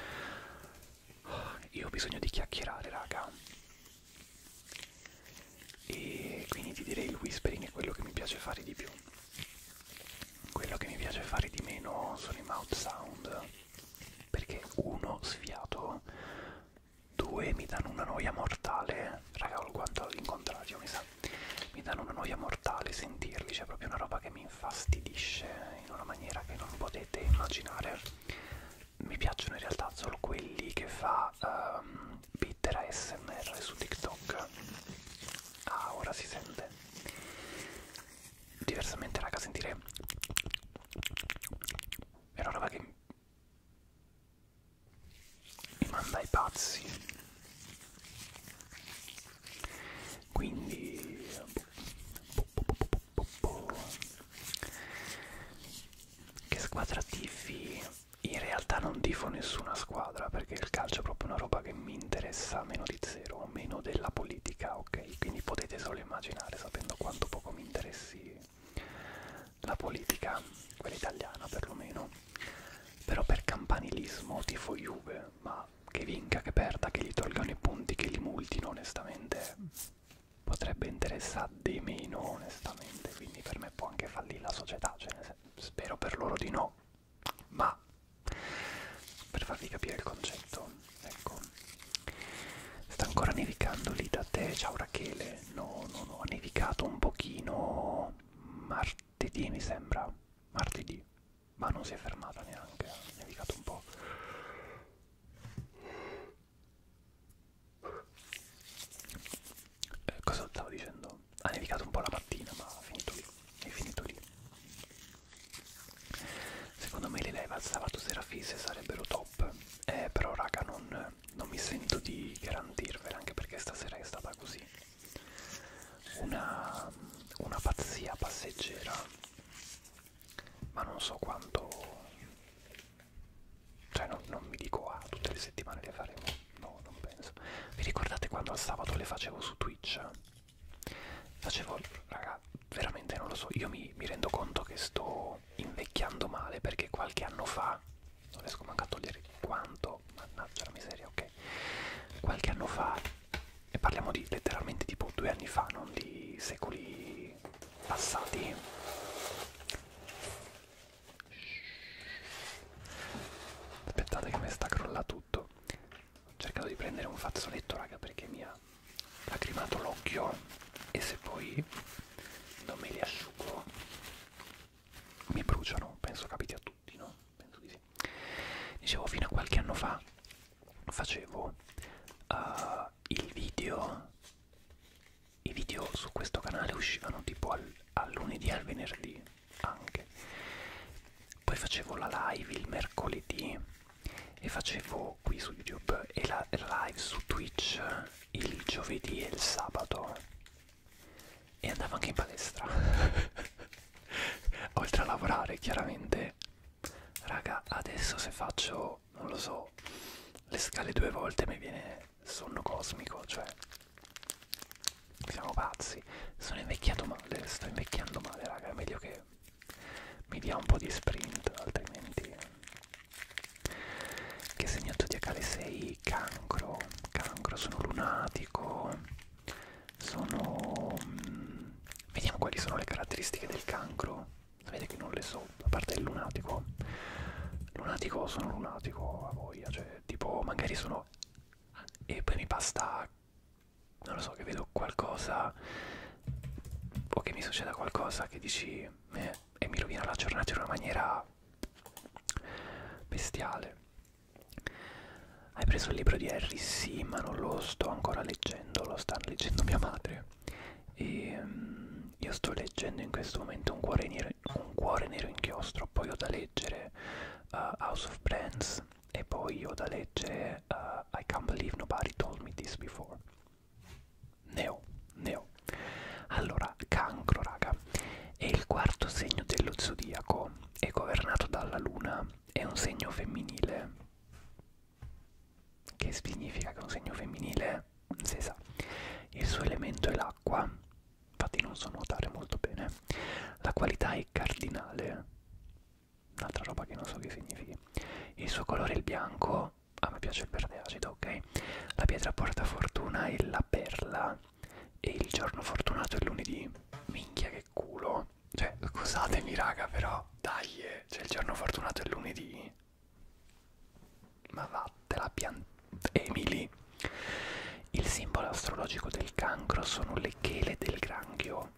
Io ho bisogno di chiacchierare, raga. E quindi ti direi il whispering è quello che mi piace fare di più. Quello che mi piace fare di meno sono i mouth sound. Perché uno sfiato, due mi danno una noia mortale. Raga, ho il guanto all'incontrario, mi sa vita. Mi danno una noia mortale sentirli, c'è proprio una roba che mi infastidisce in una maniera che non potete immaginare. Mi piacciono in realtà solo quelli che fa um, ehm, Bitter ASMR su TikTok. Ah, ora si sente. Diversamente, raga, sentire... È una roba che mi manda ai pazzi quindi che squadra tifi in realtà non tifo nessuna squadra perché il calcio è proprio una roba che mi interessa meno di zero meno della politica ok quindi potete solo immaginare sapendo quanto poco mi interessi la politica quella italiana perlomeno però per campanilismo tifo Juve, ma che vinca, che perda, che gli tolgano i punti, che li multino, onestamente potrebbe interessare di meno, onestamente, quindi per me può anche fallire la società, cioè, spero per loro di no, ma per farvi capire il concetto, ecco. Sta ancora nevicando lì da te, ciao Rachele, no, no, no, ha nevicato un pochino, mar martedì mi sembra martedì ma non si è fermata neanche ha nevicato un po' eh, cosa stavo dicendo? ha nevicato un po' la mattina ma ha finito lì è finito lì secondo me le live al sabato sera fisse sarebbero top eh però raga non, non mi sento di garantirvele anche perché stasera è stata così una, una pazzia passeggera ma non so quanto cioè non, non mi dico ah tutte le settimane le faremo no non penso vi ricordate quando al sabato le facevo su Twitch? facevo raga veramente non lo so io mi, mi rendo conto che sto invecchiando male perché qualche anno fa non riesco manco a togliere quanto, mannaggia la miseria, ok, qualche anno fa, e parliamo di letteralmente tipo due anni fa, non di secoli passati, aspettate che mi sta crolla tutto, ho cercato di prendere un fazzoletto raga perché mi ha lacrimato l'occhio e se poi non me li asciugo mi bruciano, penso capiti a tutti, no? penso di sì. Dicevo, fino a qualche anno fa facevo uh, il video, i video su questo canale uscivano tipo al, al lunedì e al venerdì anche. Poi facevo la live il mercoledì e facevo qui su YouTube e la live su Twitch il giovedì e il sabato e andavo anche in palestra oltre a lavorare chiaramente raga adesso se faccio non lo so le scale due volte mi viene sonno cosmico cioè siamo pazzi sono invecchiato male sto invecchiando male raga è meglio che mi dia un po' di sprint altrimenti che segno zodiacale 6 cancro cancro sono lunatico sono mm, vediamo quali sono le caratteristiche del cancro sapete che non le so a parte il lunatico lunatico sono lunatico a voglia cioè tipo magari sono e poi mi basta non lo so che vedo qualcosa o che mi succeda qualcosa che dici eh, e mi rovina la giornata in una maniera bestiale hai preso il libro di Harry? Sì, ma non lo sto ancora leggendo, lo sta leggendo mia madre. E um, io sto leggendo in questo momento un cuore nero, un cuore nero inchiostro, poi ho da leggere uh, House of Brands e poi ho da leggere uh, I Can't Believe Nobody Told Me This Before. Neo, neo. Allora, cancro, raga, è il quarto segno dello zodiaco e governato dalla luna è un segno femminile. Che significa che è un segno femminile? Si sa. Il suo elemento è l'acqua, infatti non so nuotare molto bene. La qualità è cardinale, un'altra roba che non so che significhi. Il suo colore è il bianco, a me piace il verde acido, ok? La pietra porta fortuna è la perla e il giorno fortunato è lunedì. Minchia che che culo. Cioè, scusatemi raga, però, dai, cioè il giorno fortunato è lunedì. Ma vattela pian... Emily. Il simbolo astrologico del cancro sono le chele del granchio.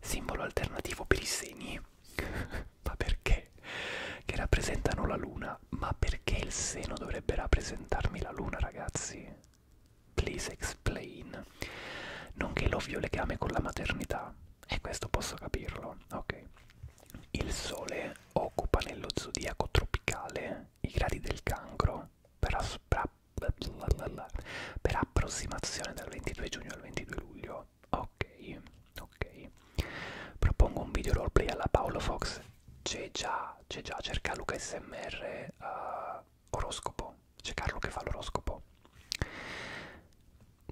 Simbolo alternativo per i segni. ma perché? Che rappresentano la luna. Ma perché il seno dovrebbe rappresentarmi la luna, ragazzi? Please explain. Nonché l'ovvio legame con la maternità. E questo posso capirlo, ok. Il Sole occupa nello zodiaco tropicale i gradi del cancro per, per approssimazione dal 22 giugno al 22 luglio. Ok, ok. Propongo un video roleplay alla Paolo Fox. C'è già, c'è già, cerca Luca SMR. Uh, ah, oroscopo. C'è Carlo che fa l'oroscopo.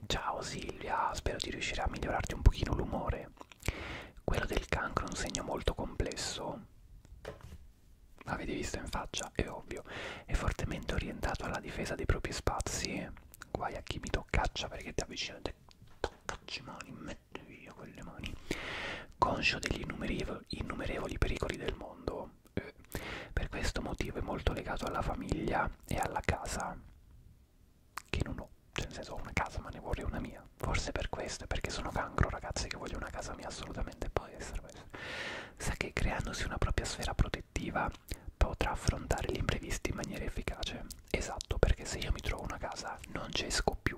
Ciao Silvia, spero di riuscire a migliorarti un pochino l'umore. Quello del cancro è un segno molto complesso. L'avete visto in faccia? È ovvio. È fortemente orientato alla difesa dei propri spazi. Guai a chi mi toccaccia perché ti avvicina e te toccacci mani, metti via quelle mani conscio degli innumerevoli, innumerevoli pericoli del mondo. Eh, per questo motivo è molto legato alla famiglia e alla casa, che non ho, cioè nel senso ho una casa ma ne vorrei una mia. Forse per questo, è perché sono cancro ragazzi che voglio una casa mia assolutamente, può essere questo. Sa che creandosi una propria sfera protettiva potrà affrontare gli imprevisti in maniera efficace. Esatto, perché se io mi trovo una casa non ci esco più.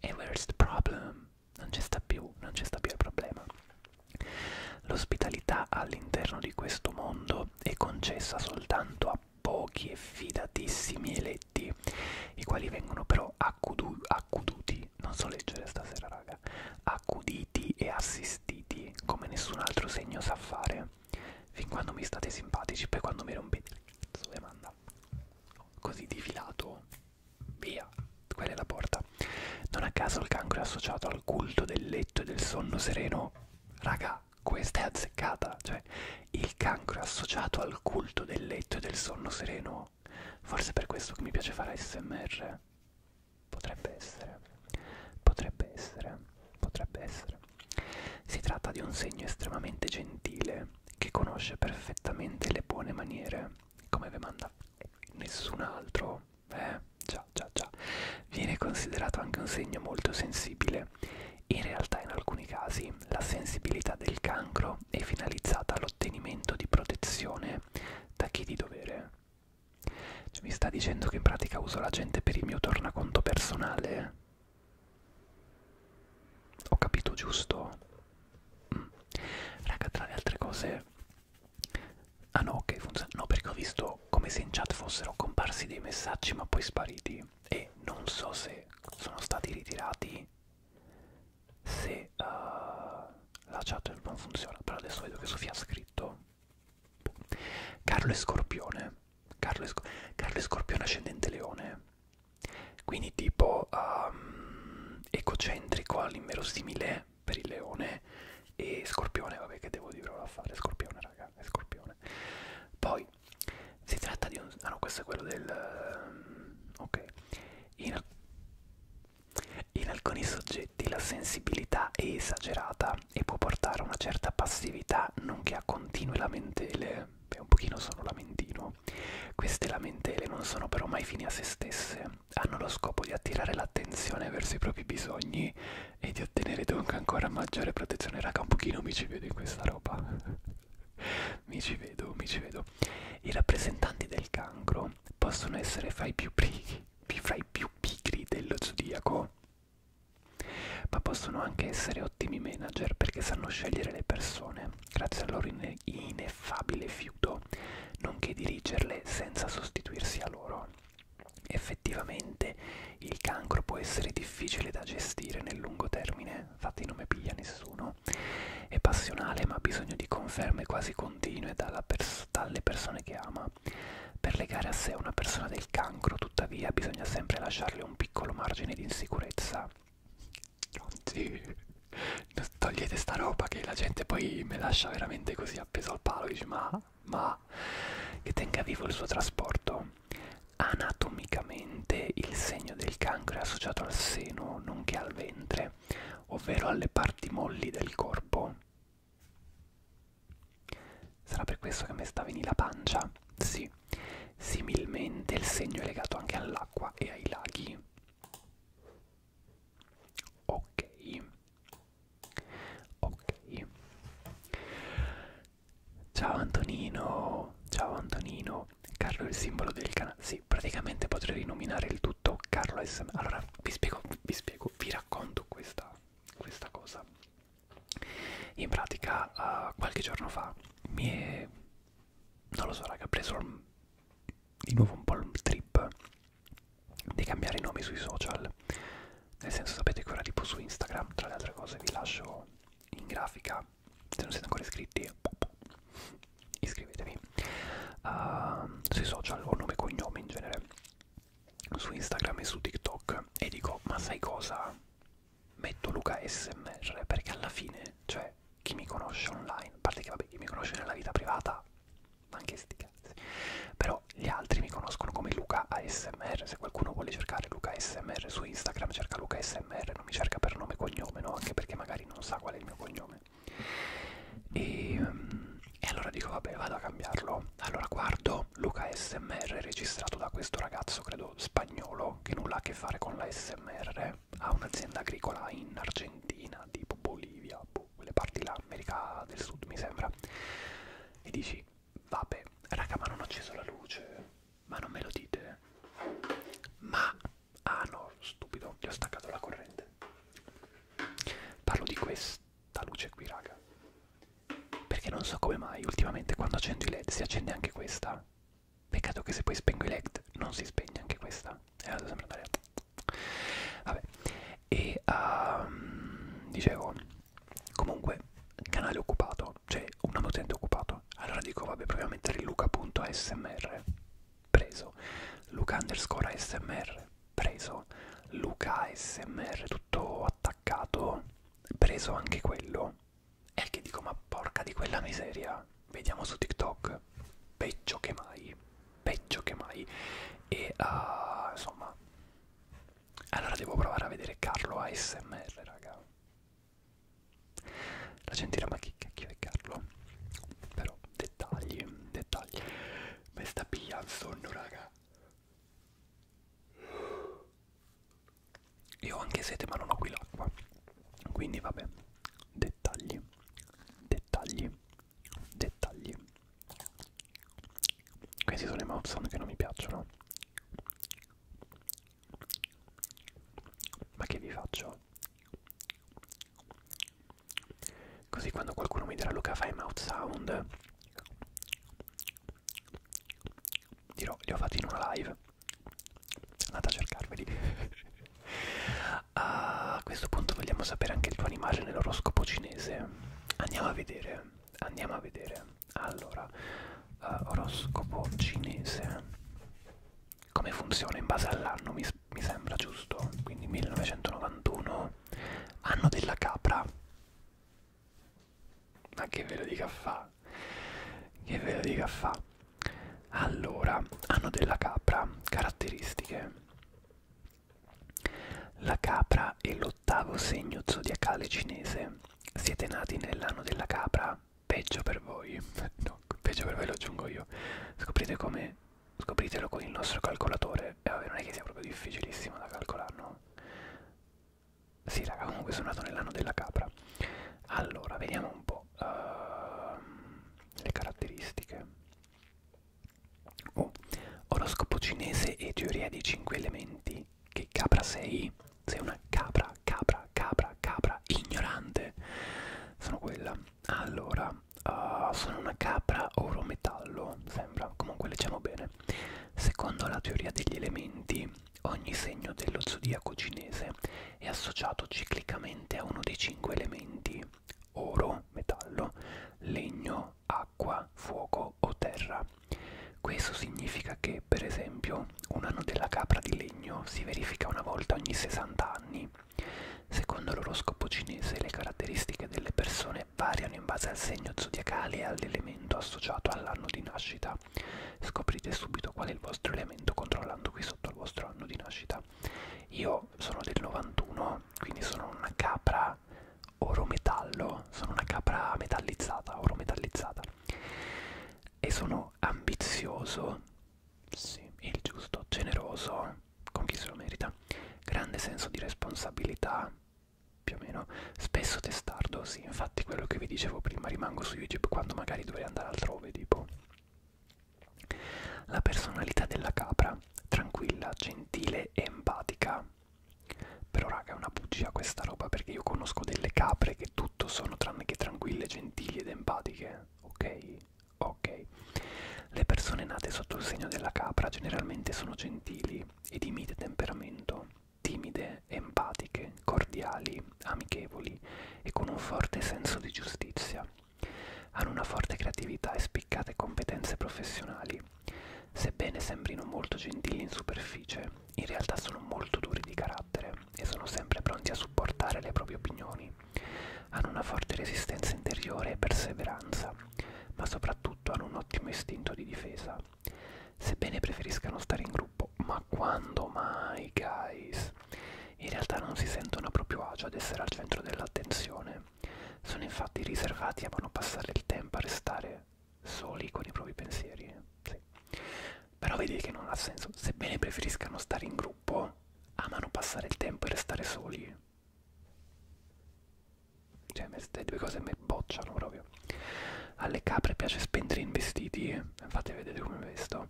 E where's the problem? non ci sta più, non ci sta più il problema. L'ospitalità all'interno di questo mondo è concessa soltanto a pochi e fidatissimi eletti, i quali vengono però accudu accuduti, non so leggere stasera raga, accuditi e assistiti come nessun altro segno sa fare, fin quando mi state simpatici, poi quando mi rompete il cazzo e eh, manda così di filato Via, quella è la porta. Non a caso il cancro è associato al culto del letto e del sonno sereno. Raga, questa è azzeccata. Cioè, il cancro è associato al culto del letto e del sonno sereno. Forse per questo che mi piace fare ASMR. Potrebbe essere. Potrebbe essere. Potrebbe essere. Si tratta di un segno estremamente gentile che conosce perfettamente le buone maniere come vi manda nessun altro, eh, già, già, già, viene considerato anche un segno molto sensibile. In realtà in alcuni casi la sensibilità del cancro è finalizzata all'ottenimento di protezione da chi di dovere. Cioè, mi sta dicendo che in pratica uso la gente per il mio tornaconto personale? Ho capito giusto? Mm. Raga, tra le altre cose... Ah no, ok, funziona. No, perché ho visto come se in chat fossero comparsi dei messaggi ma poi spariti. E non so se sono stati ritirati, se uh, la chat non funziona. Però adesso vedo che Sofia ha scritto... Carlo e Scorpione. Carlo e, Sco Carlo e Scorpione ascendente leone quindi tipo um, ecocentrico all'inverosimile per il leone e scorpione, vabbè che devo dire ora a fare, scorpione raga, è scorpione. Poi si tratta di un... Ah no, questo è quello del... Um, ok. In, in alcuni soggetti la sensibilità è esagerata e può portare a una certa passività nonché a continue lamentele. Beh, un pochino sono lamentino. Queste lamentele non sono però mai fini a se stesse hanno lo scopo di attirare l'attenzione verso i propri bisogni e di ottenere dunque ancora maggiore protezione. Raga, un pochino mi ci vedo in questa roba. mi ci vedo, mi ci vedo. I rappresentanti del cancro possono essere fra i più, pri fra i più pigri dello zodiaco, ma possono anche essere ottimi manager perché sanno scegliere le persone grazie al loro inne ineffabile fiuto, nonché dirigerle senza sostituirsi a loro. Effettivamente il cancro può essere difficile da gestire nel lungo termine, infatti non mi piglia nessuno, è passionale ma ha bisogno di conferme quasi continue pers dalle persone che ama. Per legare a sé una persona del cancro, tuttavia, bisogna sempre lasciarle un piccolo margine di insicurezza. Oggi togliete sta roba che la gente poi me lascia veramente così appeso al palo dice ma, ma che tenga vivo il suo trasporto anatomicamente il segno del cancro è associato al seno nonché al ventre ovvero alle parti molli del corpo sarà per questo che mi sta venendo la pancia sì similmente il segno è legato anche all'acqua e ai laghi ok ok ciao Antonino ciao Antonino Carlo è il simbolo del canale sì praticamente potrei rinominare il tutto Carlo SM allora vi spiego vi spiego vi racconto questa questa cosa in pratica uh, qualche giorno fa mi è non lo so raga ho preso di nuovo un po' il trip di cambiare i nomi sui social nel senso sapete che ora tipo su Instagram tra le altre cose vi lascio in grafica se non siete ancora iscritti iscrivetevi uh, sui social o nome e cognome in genere su Instagram e su TikTok e dico ma sai cosa metto Luca SMR perché alla fine cioè chi mi conosce online a parte che vabbè chi mi conosce nella vita privata ma anche sti cazzi però gli altri mi conoscono come Luca ASMR se qualcuno vuole cercare Luca ASMR su Instagram cerca Luca ASMR non mi cerca per nome e cognome no? anche perché magari non sa qual è il mio cognome e, mm, e allora dico vabbè vado a cambiarlo allora guardo Luca ASMR registrato da questo ragazzo credo spagnolo che nulla ha a che fare con la ASMR ha un'azienda agricola in Argentina tipo Bolivia quelle parti là, America del Sud mi sembra, e dici vabbè, raga ma non ho acceso la luce, ma non me lo dite, ma, ah no, stupido, gli ho staccato la corrente. Parlo di questa luce qui, raga, perché non so come mai ultimamente quando accendo i led si accende anche questa. Peccato che se poi spengo i led non si spegne anche questa e eh, vado sempre andare vabbè e um, dicevo comunque canale occupato cioè un utente occupato allora dico vabbè proviamo a mettere luca.asmr preso luca underscore asmr preso luca smr tutto attaccato preso anche quello e che dico ma porca di quella miseria vediamo su tiktok peggio che mai peggio che mai e uh, insomma allora devo provare a vedere Carlo ASMR raga la gente dirà ma chi cacchio è Carlo però dettagli dettagli mi sta pigliando il sonno raga io ho anche sete ma non ho qui l'acqua quindi vabbè dettagli dettagli dettagli questi sono i mouth sound che non mi piacciono ma che vi faccio? Così quando qualcuno mi dirà Luca fai mouth sound Dirò, li ho fatti in una live Andate a cercarveli a questo punto vogliamo sapere anche il tuo animale nell'oroscopo cinese andiamo a vedere andiamo a vedere allora uh, oroscopo cinese come funziona in base all'anno mi, mi sembra giusto quindi 1991 anno della capra ma che ve lo dica fa che ve lo dica fa allora anno della capra caratteristiche la capra è l'ottavo segno zodiacale cinese. Siete nati nell'anno della capra? Peggio per voi. No, peggio per voi lo aggiungo io. Scoprite come, scopritelo con il nostro calcolatore. E eh, vabbè, non è che sia proprio difficilissimo da calcolare, no? Sì, raga, comunque sono nato nell'anno della capra. Allora, vediamo un po' uh, le caratteristiche. Oh, oroscopo cinese e teoria dei cinque elementi. Che capra sei? Sei una capra, capra, capra, capra, ignorante. Sono quella. Allora, uh, sono una capra oro-metallo, sembra. Comunque leggiamo bene. Secondo la teoria degli elementi, ogni segno dello zodiaco cinese è associato ciclicamente a uno dei cinque elementi oro, metallo, legno, acqua, fuoco o terra. Questo significa che, per esempio, un anno della capra di legno si verifica una volta ogni 60 anni. Secondo l'oroscopo cinese le caratteristiche delle persone variano in base al segno zodiacale e all'elemento associato all'anno di nascita. Scoprite subito qual è il vostro elemento controllando qui sotto il vostro anno di nascita. Io sono del 91, quindi sono una capra oro metallo, sono una capra metallizzata, oro metallizzata e sono ambizioso, sì, il giusto, generoso, con chi se lo merita, grande senso di responsabilità, più o meno, spesso testardo, sì, infatti quello che vi dicevo prima, rimango su YouTube quando magari dovrei andare altrove, tipo la personalità della capra, tranquilla, gentile e empatica. Però raga è una bugia questa roba perché io conosco delle capre che tutto sono tranne che tranquille, gentili ed empatiche. Ok? Ok. Le persone nate sotto il segno della capra generalmente sono gentili e di mite temperamento, timide, empatiche, cordiali, amichevoli e con un forte senso di giustizia. Hanno una forte creatività e spiccate competenze professionali. Sebbene sembrino molto gentili in superficie, in realtà sono molto duri di carattere e sono sempre pronti a supportare le proprie opinioni. Hanno una forte resistenza interiore e perseveranza, ma soprattutto hanno un ottimo istinto di difesa. Sebbene preferiscano stare in gruppo, ma quando mai, guys? In realtà non si sentono a proprio agio ad essere al centro dell'attenzione sono infatti riservati e amano passare il tempo a restare soli con i propri pensieri. Sì. Però vedi che non ha senso. Sebbene preferiscano stare in gruppo, amano passare il tempo e restare soli. Cioè, queste due cose mi bocciano proprio. Alle capre piace spendere in vestiti, infatti vedete come vesto,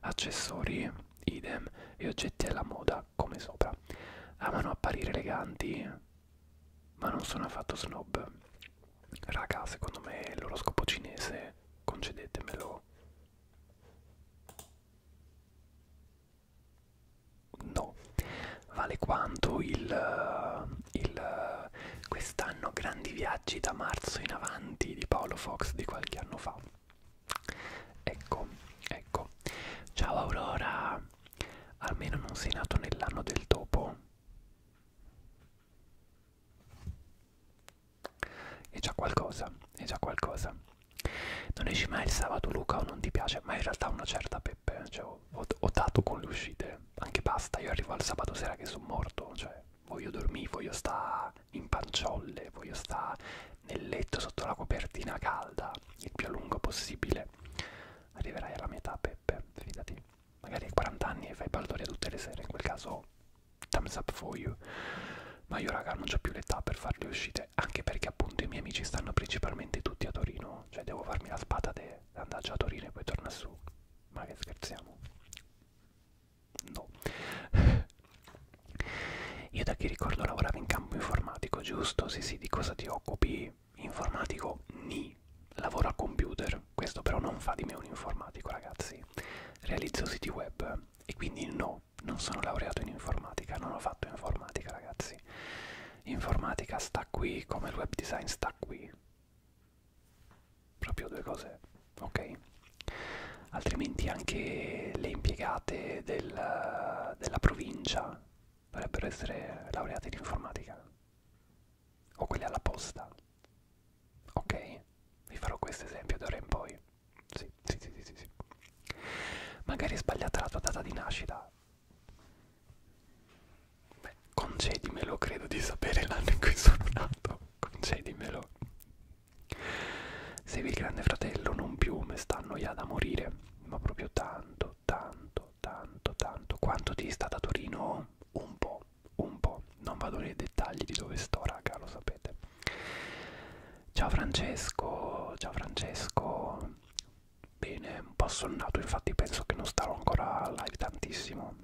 accessori, idem e oggetti alla moda come sopra. Amano apparire eleganti, ma non sono affatto snob. Raga, secondo me l'oroscopo cinese, concedetemelo. No, vale quanto il, il quest'anno grandi viaggi da marzo in avanti di Paolo Fox di qualche anno fa. Ecco, ecco. Ciao Aurora, almeno non sei nato nell'anno del topo è già qualcosa è già qualcosa non esci mai il sabato Luca o non ti piace ma in realtà una certa Peppe cioè, ho, ho, ho dato con le uscite anche basta io arrivo al sabato sera che sono morto cioè voglio dormire voglio stare in panciolle voglio stare nel letto sotto la copertina calda il più a lungo possibile arriverai alla mia età Peppe, fidati. Magari hai 40 anni e fai baldoria tutte le sere, in quel caso thumbs up for you. Ma io raga non ho più l'età per fare le uscite, anche perché appunto i miei amici stanno principalmente tutti a Torino, cioè devo farmi la spata di andare a Torino e poi tornare su. Ma che scherziamo? No. Io da che ricordo lavoravo in campo informatico, giusto? Sì, sì, di cosa ti occupi? Informatico? Ni. Lavoro a computer. Questo però non fa di me un informatico, ragazzi. Realizzo siti web e quindi no, non sono laureato in informatica, non ho fatto informatica, ragazzi. Informatica sta qui come il web design sta qui. Proprio due cose, ok? Altrimenti anche le impiegate del, della provincia dovrebbero essere laureati in informatica o quelli alla posta ok vi farò questo esempio d'ora in poi sì sì sì sì sì, sì. magari è sbagliata la tua data di nascita Beh, concedimelo credo di sapere l'anno in cui sono nato concedimelo se il grande fratello non più mi sta annoiando a morire ma proprio tanto tanto, tanto, tanto, tanto. Quanto dista da Torino? Un po', un po'. Non vado nei dettagli di dove sto, raga, lo sapete. Ciao Francesco, ciao Francesco. Bene, un po' sonnato, infatti penso che non starò ancora live tantissimo.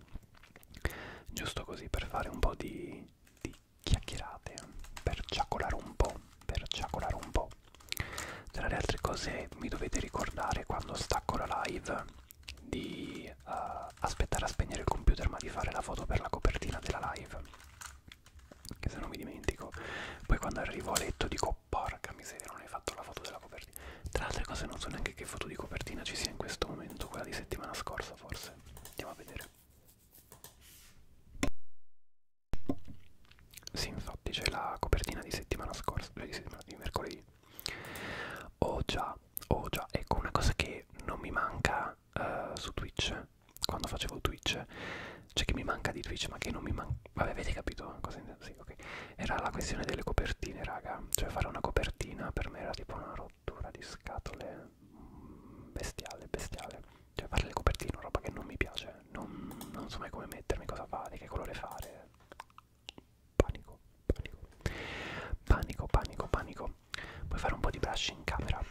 Giusto così per fare un po' di, di chiacchierate, per ciacolare un po', per ciacolare un po'. Tra le altre cose mi dovete ricordare quando stacco la live di uh, aspettare a spegnere il computer ma di fare la foto per la copertina della live. Che se no mi dimentico. Poi quando arrivo a letto dico porca miseria non hai fatto la foto della copertina. Tra le altre cose non so neanche che foto di copertina ci sia in questo momento, quella di settimana scorsa forse. Andiamo a vedere. Sì, infatti c'è la copertina di settimana scorsa, cioè di settimana di mercoledì. Oh già, oh già, ecco una cosa che non mi manca uh, su Twitch, quando facevo Twitch, cioè che mi manca di Twitch ma che non mi manca... Vabbè, avete capito cosa intendo? Sì, ok. Era la questione delle copertine, raga. Cioè fare una copertina per me era tipo una rottura di scatole mm, bestiale, bestiale. Cioè fare le copertine è una roba che non mi piace non, non so mai come mettermi, cosa fare, che colore fare. Panico, panico, panico, panico, panico. Puoi fare un po' di brush in camera.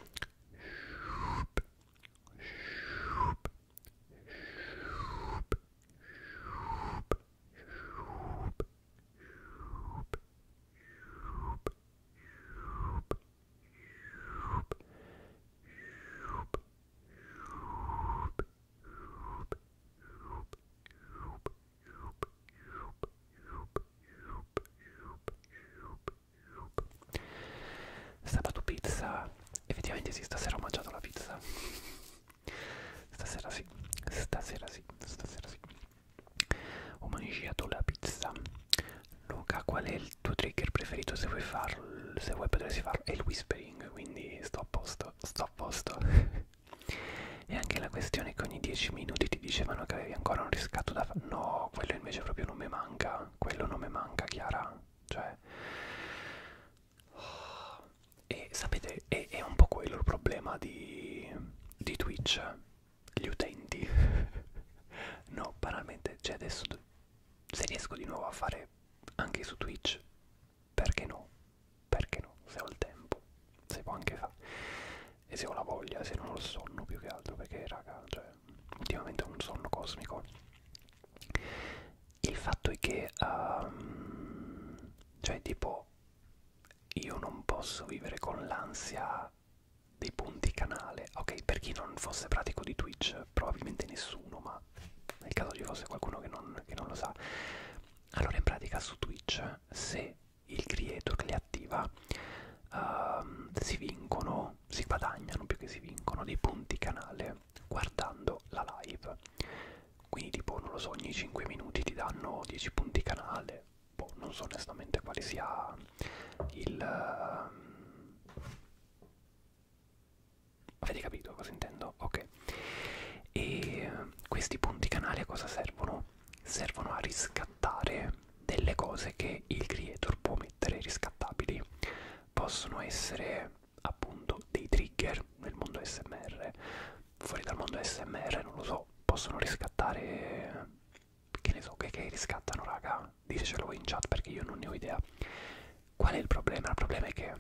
Sabato pizza, effettivamente sì, stasera ho mangiato la pizza. Stasera sì, stasera sì, stasera sì. Ho mangiato la pizza. Luca, qual è il tuo trigger preferito se vuoi farlo? Se vuoi potresti farlo. È il whispering ring quindi sto a posto sto a posto e anche la questione che ogni 10 minuti ti dicevano che avevi ancora un riscatto da fare no quello invece proprio non mi manca quello non mi manca Chiara cioè e sapete è, è un po' quello il problema di, di Twitch gli utenti no banalmente cioè adesso se riesco di nuovo a fare anche su Twitch perché no? Perché no? Se ho il tempo, si può anche fare. E se ho la voglia, se non ho il sonno più che altro, perché raga, cioè, ultimamente ho un sonno cosmico. Il fatto è che, um, cioè, tipo, io non posso vivere con l'ansia dei punti canale. Ok, per chi non fosse pratico di Twitch, probabilmente nessuno, ma nel caso ci fosse qualcuno che non, che non lo sa allora in pratica su Twitch se il creator li attiva uh, si vincono si guadagnano più che si vincono dei punti canale guardando la live quindi tipo non lo so ogni 5 minuti ti danno 10 punti canale boh, non so onestamente quale sia il uh, Avete capito cosa intendo? Ok. E questi punti canali a cosa servono? Servono a riscattare delle cose che il creator può mettere riscattabili. Possono essere appunto dei trigger nel mondo SMR, fuori dal mondo SMR, non lo so, possono riscattare che ne so che, che riscattano raga, ditecelo voi in chat perché io non ne ho idea Qual è il problema? Il problema è che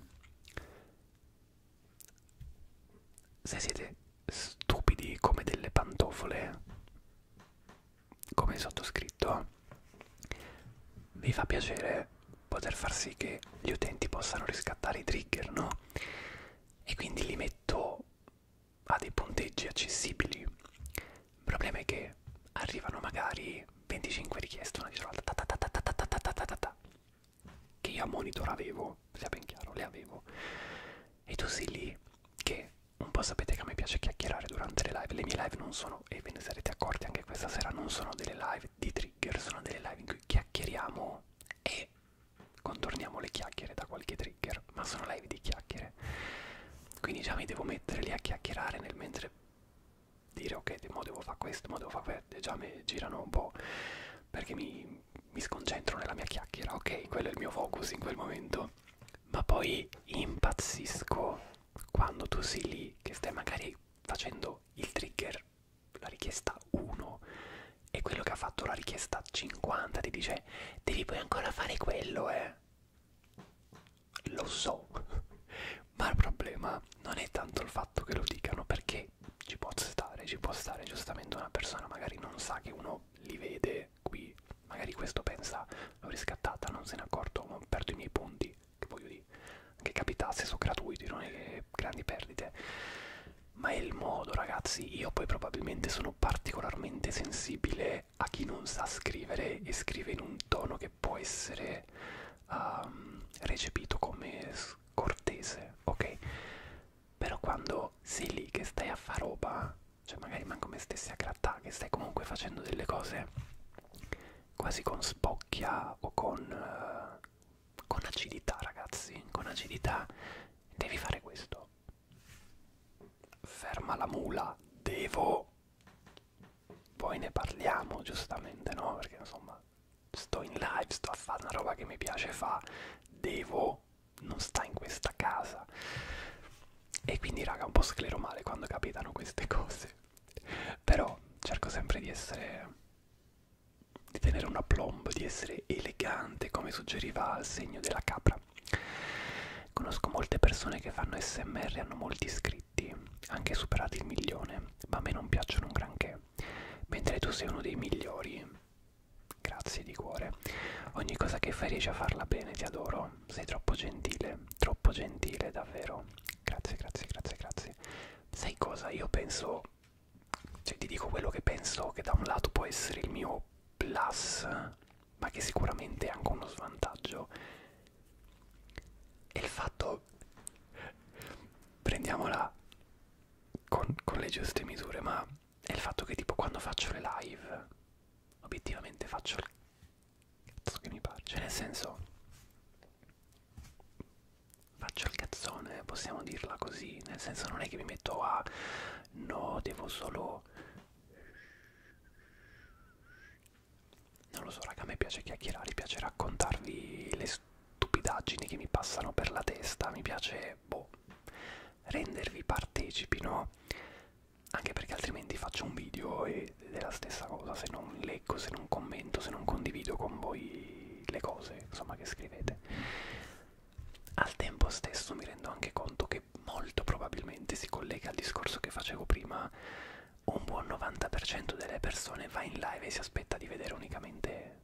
se siete stupidi come delle pantofole, come sottoscritto, vi fa piacere poter far sì che gli utenti possano riscattare i trigger, no? E quindi li metto a dei punteggi accessibili. Il problema è che arrivano magari 25 richieste una dietro l'altra che io a monitor avevo, sia ben chiaro, le avevo. E tu sei lì che un po' sapete che a me piace chiacchierare durante le live. Le mie live non sono, e ve ne sarete accorti anche questa sera, non sono delle live di trigger, sono delle live in cui chiacchieriamo e contorniamo le chiacchiere da qualche trigger, ma sono live di chiacchiere. Quindi già mi devo mettere lì a chiacchierare nel mentre dire ok mo devo fare questo mo devo fare quello già mi girano un po' perché mi, mi sconcentro nella mia chiacchiera ok quello è il mio focus in quel momento ma poi impazzisco quando tu sei lì che stai magari facendo il trigger la richiesta 1 e quello che ha fatto la richiesta 50 ti dice devi poi ancora fare quello eh lo so ma il problema non è tanto il fatto che lo dicano perché ci può stare, ci può stare giustamente una persona magari non sa che uno li vede qui, magari questo pensa l'ho riscattata, non se n'è accorto, non perdo i miei punti, che voglio dire, che capitasse, sono gratuiti, non è che grandi perdite, ma è il modo ragazzi, io poi probabilmente sono particolarmente sensibile a chi non sa scrivere e scrive in un tono che può essere um, recepito come cortese, ok? Però quando sei lì che stai a fare roba, cioè magari manco me stessi a grattare, che stai comunque facendo delle cose quasi con spocchia o con, uh, con acidità, ragazzi, con acidità, devi fare questo. Ferma la mula, devo. Poi ne parliamo, giustamente, no? Perché insomma sto in live, sto a fare una roba che mi piace fa, devo, non sta in questa casa. E quindi raga, un po' sclero male quando capitano queste cose. Però cerco sempre di essere di tenere una plomb, di essere elegante, come suggeriva il segno della capra. Conosco molte persone che fanno SMR, hanno molti iscritti, anche superati il milione, ma a me non piacciono un granché me, mentre tu sei uno dei migliori. Grazie di cuore. Ogni cosa che fai riesci a farla bene, ti adoro. Sei troppo gentile, troppo gentile, davvero. Grazie, grazie, grazie, grazie. Sai cosa? Io penso, cioè ti dico quello che penso che da un lato può essere il mio plus, ma che sicuramente è anche uno svantaggio. E il fatto prendiamola con, con le giuste misure, ma è il fatto che tipo quando faccio le live, obiettivamente faccio il cazzo che mi pare, cioè nel senso faccio il cazzone, possiamo dirla così, nel senso non è che mi metto a no, devo solo non lo so raga, a me piace chiacchierare, piace raccontarvi le storie stupidaggini che mi passano per la testa, mi piace boh, rendervi partecipi, no? Anche perché altrimenti faccio un video e è la stessa cosa, se non leggo, se non commento, se non condivido con voi le cose, insomma, che scrivete. Al tempo stesso mi rendo anche conto che molto probabilmente si collega al discorso che facevo prima, un buon 90% delle persone va in live e si aspetta di vedere unicamente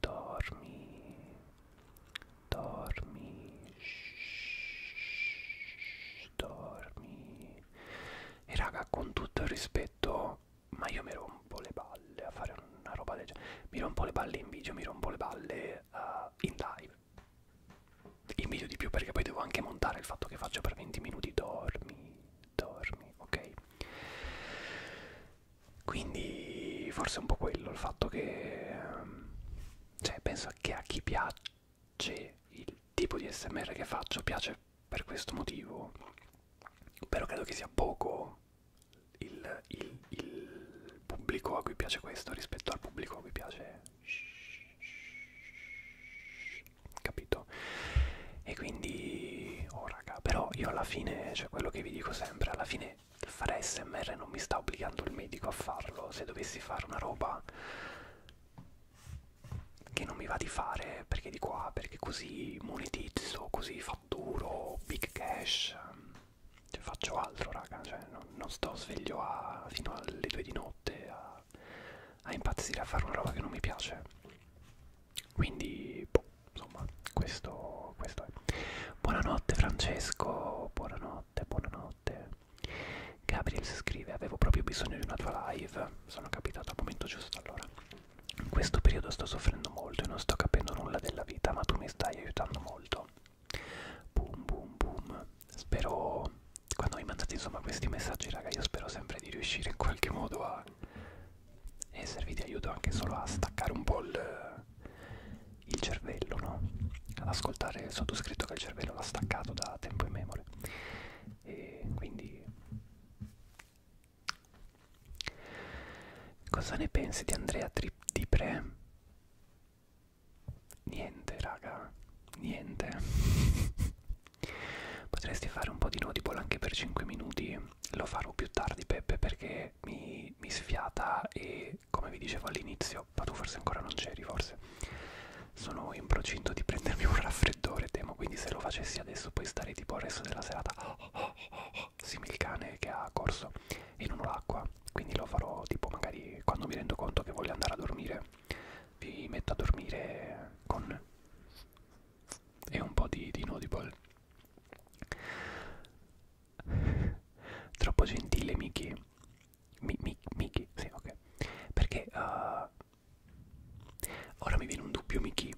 dormi dormi shh, dormi e raga con tutto il rispetto ma io mi rompo le balle a fare una roba del genere mi rompo le balle in video mi rompo le balle uh, in live in video di più perché poi devo anche montare il fatto che faccio per 20 minuti dormi dormi, ok? Quindi forse è un po' quello il fatto che ehm, cioè penso che a chi piace il tipo di SMR che faccio piace per questo motivo. Però credo che sia poco il, il, il pubblico a cui piace questo rispetto al pubblico a cui piace capito? E quindi, oh raga, però io alla fine, cioè quello che vi dico sempre, alla fine fare smr non mi sta obbligando il medico a farlo, se dovessi fare una roba che non mi va di fare perché di qua, ah, perché così monetizzo, così fatturo, big cash, cioè faccio altro raga, cioè non, non sto sveglio a, fino alle due di notte a, a impazzire a fare una roba che non mi piace quindi, boh, insomma, questo, questo è. Buonanotte Francesco, buonanotte, buonanotte. Gabriel si scrive, avevo proprio bisogno di una tua live, sono capitato al momento giusto allora. In questo periodo sto soffrendo molto e non sto capendo nulla della vita, ma tu mi stai aiutando molto. Boom, boom, boom. Spero, quando mi mandate insomma questi messaggi, raga, io spero sempre di riuscire in qualche modo a e servì di aiuto anche solo a staccare un po' il, il cervello, no? ad ascoltare il sottoscritto che il cervello l'ha staccato da tempo in memoria. E quindi cosa ne pensi di Andrea Trip di Pre? Niente raga, niente. Potresti fare un po' di notiball anche per 5 minuti, lo farò più tardi Peppe perché mi, mi sfiata e come vi dicevo all'inizio, ma tu forse ancora non c'eri forse, sono in procinto di prendermi un raffreddore temo, quindi se lo facessi adesso poi stare tipo il resto della serata simile il cane che ha corso e non ho l'acqua, quindi lo farò tipo magari quando mi rendo conto che voglio andare a dormire, vi metto a dormire con e un po' di, di Nodiball Troppo gentile Mickey. Mi, mi, Mickey, sì, ok. Perché uh, ora mi viene un dubbio Mickey.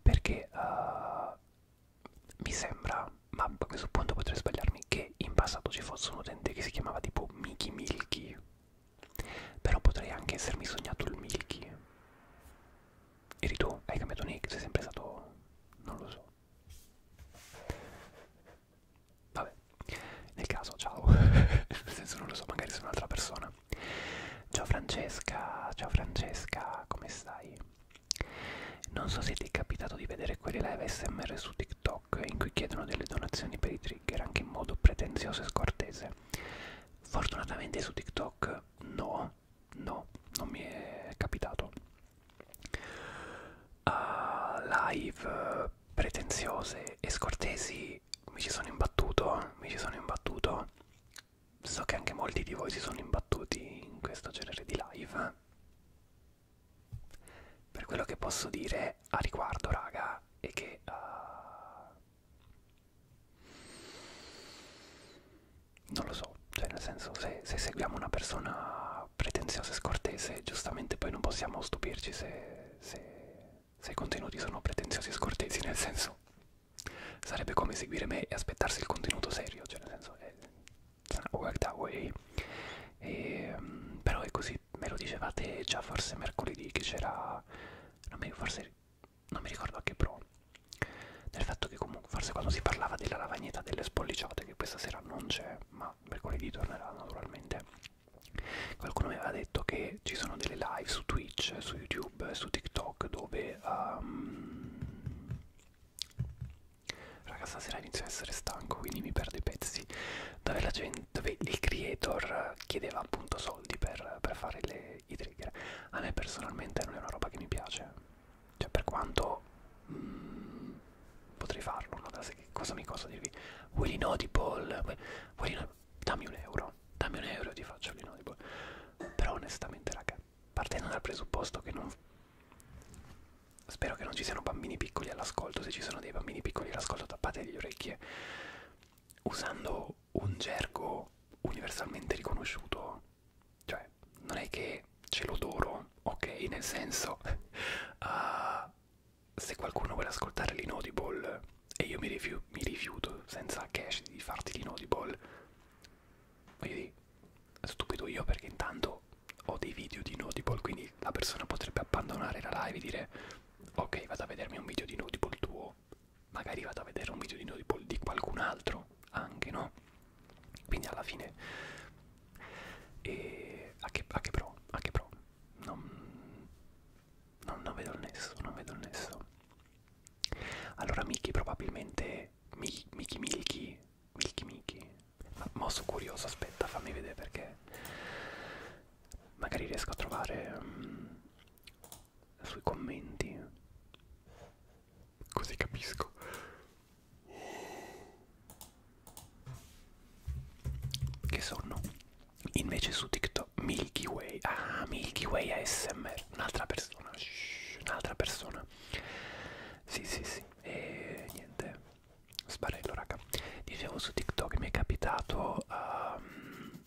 Perché uh, mi sembra, ma a questo punto potrei sbagliarmi, che in passato ci fosse un utente che si chiamava tipo Mickey Milky. Però potrei anche essermi sognato il Milky. Eri tu, hai cambiato nick, sei sempre stato... non lo so. Vabbè, nel caso, ciao. nel senso non lo so, magari sono un'altra persona. Ciao Francesca, ciao Francesca, come stai? Non so se ti è capitato di vedere quelle live SMR su TikTok in cui chiedono delle donazioni per i trigger anche in modo pretenzioso e scortese. Fortunatamente su TikTok no, No, non mi è capitato. Uh, live pretenziose e scortesi mi ci sono imbattuto, mi ci sono imbattuto. So che anche molti di voi si sono imbattuti in questo genere di live. Per quello che posso dire a riguardo, raga, è che uh, non lo so, cioè nel senso se, se seguiamo una persona pretenziosa e scortese, giustamente poi non possiamo stupirci se, se, se i contenuti sono pretenziosi e scortesi, nel senso sarebbe come seguire me e aspettarsi il contenuto serio, cioè nel senso è eh, work that way. E, ehm, però è così, me lo dicevate già forse mercoledì che c'era, non mi forse non mi ricordo a che pro del fatto che comunque forse quando si parlava della lavagnetta delle spolliciate che questa sera non c'è ma mercoledì tornerà naturalmente qualcuno mi aveva detto che ci sono delle live su Twitch, su YouTube, su TikTok dove um, raga stasera inizio a essere stanco quindi mi perdo i pezzi dove la gente, dove il creator chiedeva appunto soldi per, per fare le i, i trigger. A me personalmente non è una roba che mi piace, cioè per quanto mh, mm, potrei farlo, ma cosa mi costa dirvi? Willy Notable, Willy, dammi un euro, dammi un euro e ti faccio Willy Notable. Però onestamente raga, partendo dal presupposto che non... Spero che non ci siano bambini piccoli all'ascolto, se ci sono dei bambini piccoli all'ascolto tappate le orecchie. Usando un gergo universalmente riconosciuto cioè, non è che ce l'odoro, ok? Nel senso, uh, se qualcuno vuole ascoltare l'inaudible e io mi, rifi mi rifiuto senza cash di farti l'inaudible, voglio dire, stupido io perché intanto ho dei video di inaudible, quindi la persona potrebbe abbandonare la live e dire ok, vado a vedermi un video di inaudible tuo magari vado a vedere un video di, noi, di qualcun altro anche no quindi alla fine e a, che, a che pro a che pro non, non, non vedo il nesso non vedo il nesso allora Miki probabilmente Miki Miki Miki Miki Miki ma, ma sono curioso aspetta fammi vedere perché magari riesco a trovare um, sui commenti così capisco che sono invece su TikTok Milky Way ah Milky Way ASMR un'altra persona un'altra persona sì sì sì e niente sbarello raga dicevo su TikTok mi è capitato um,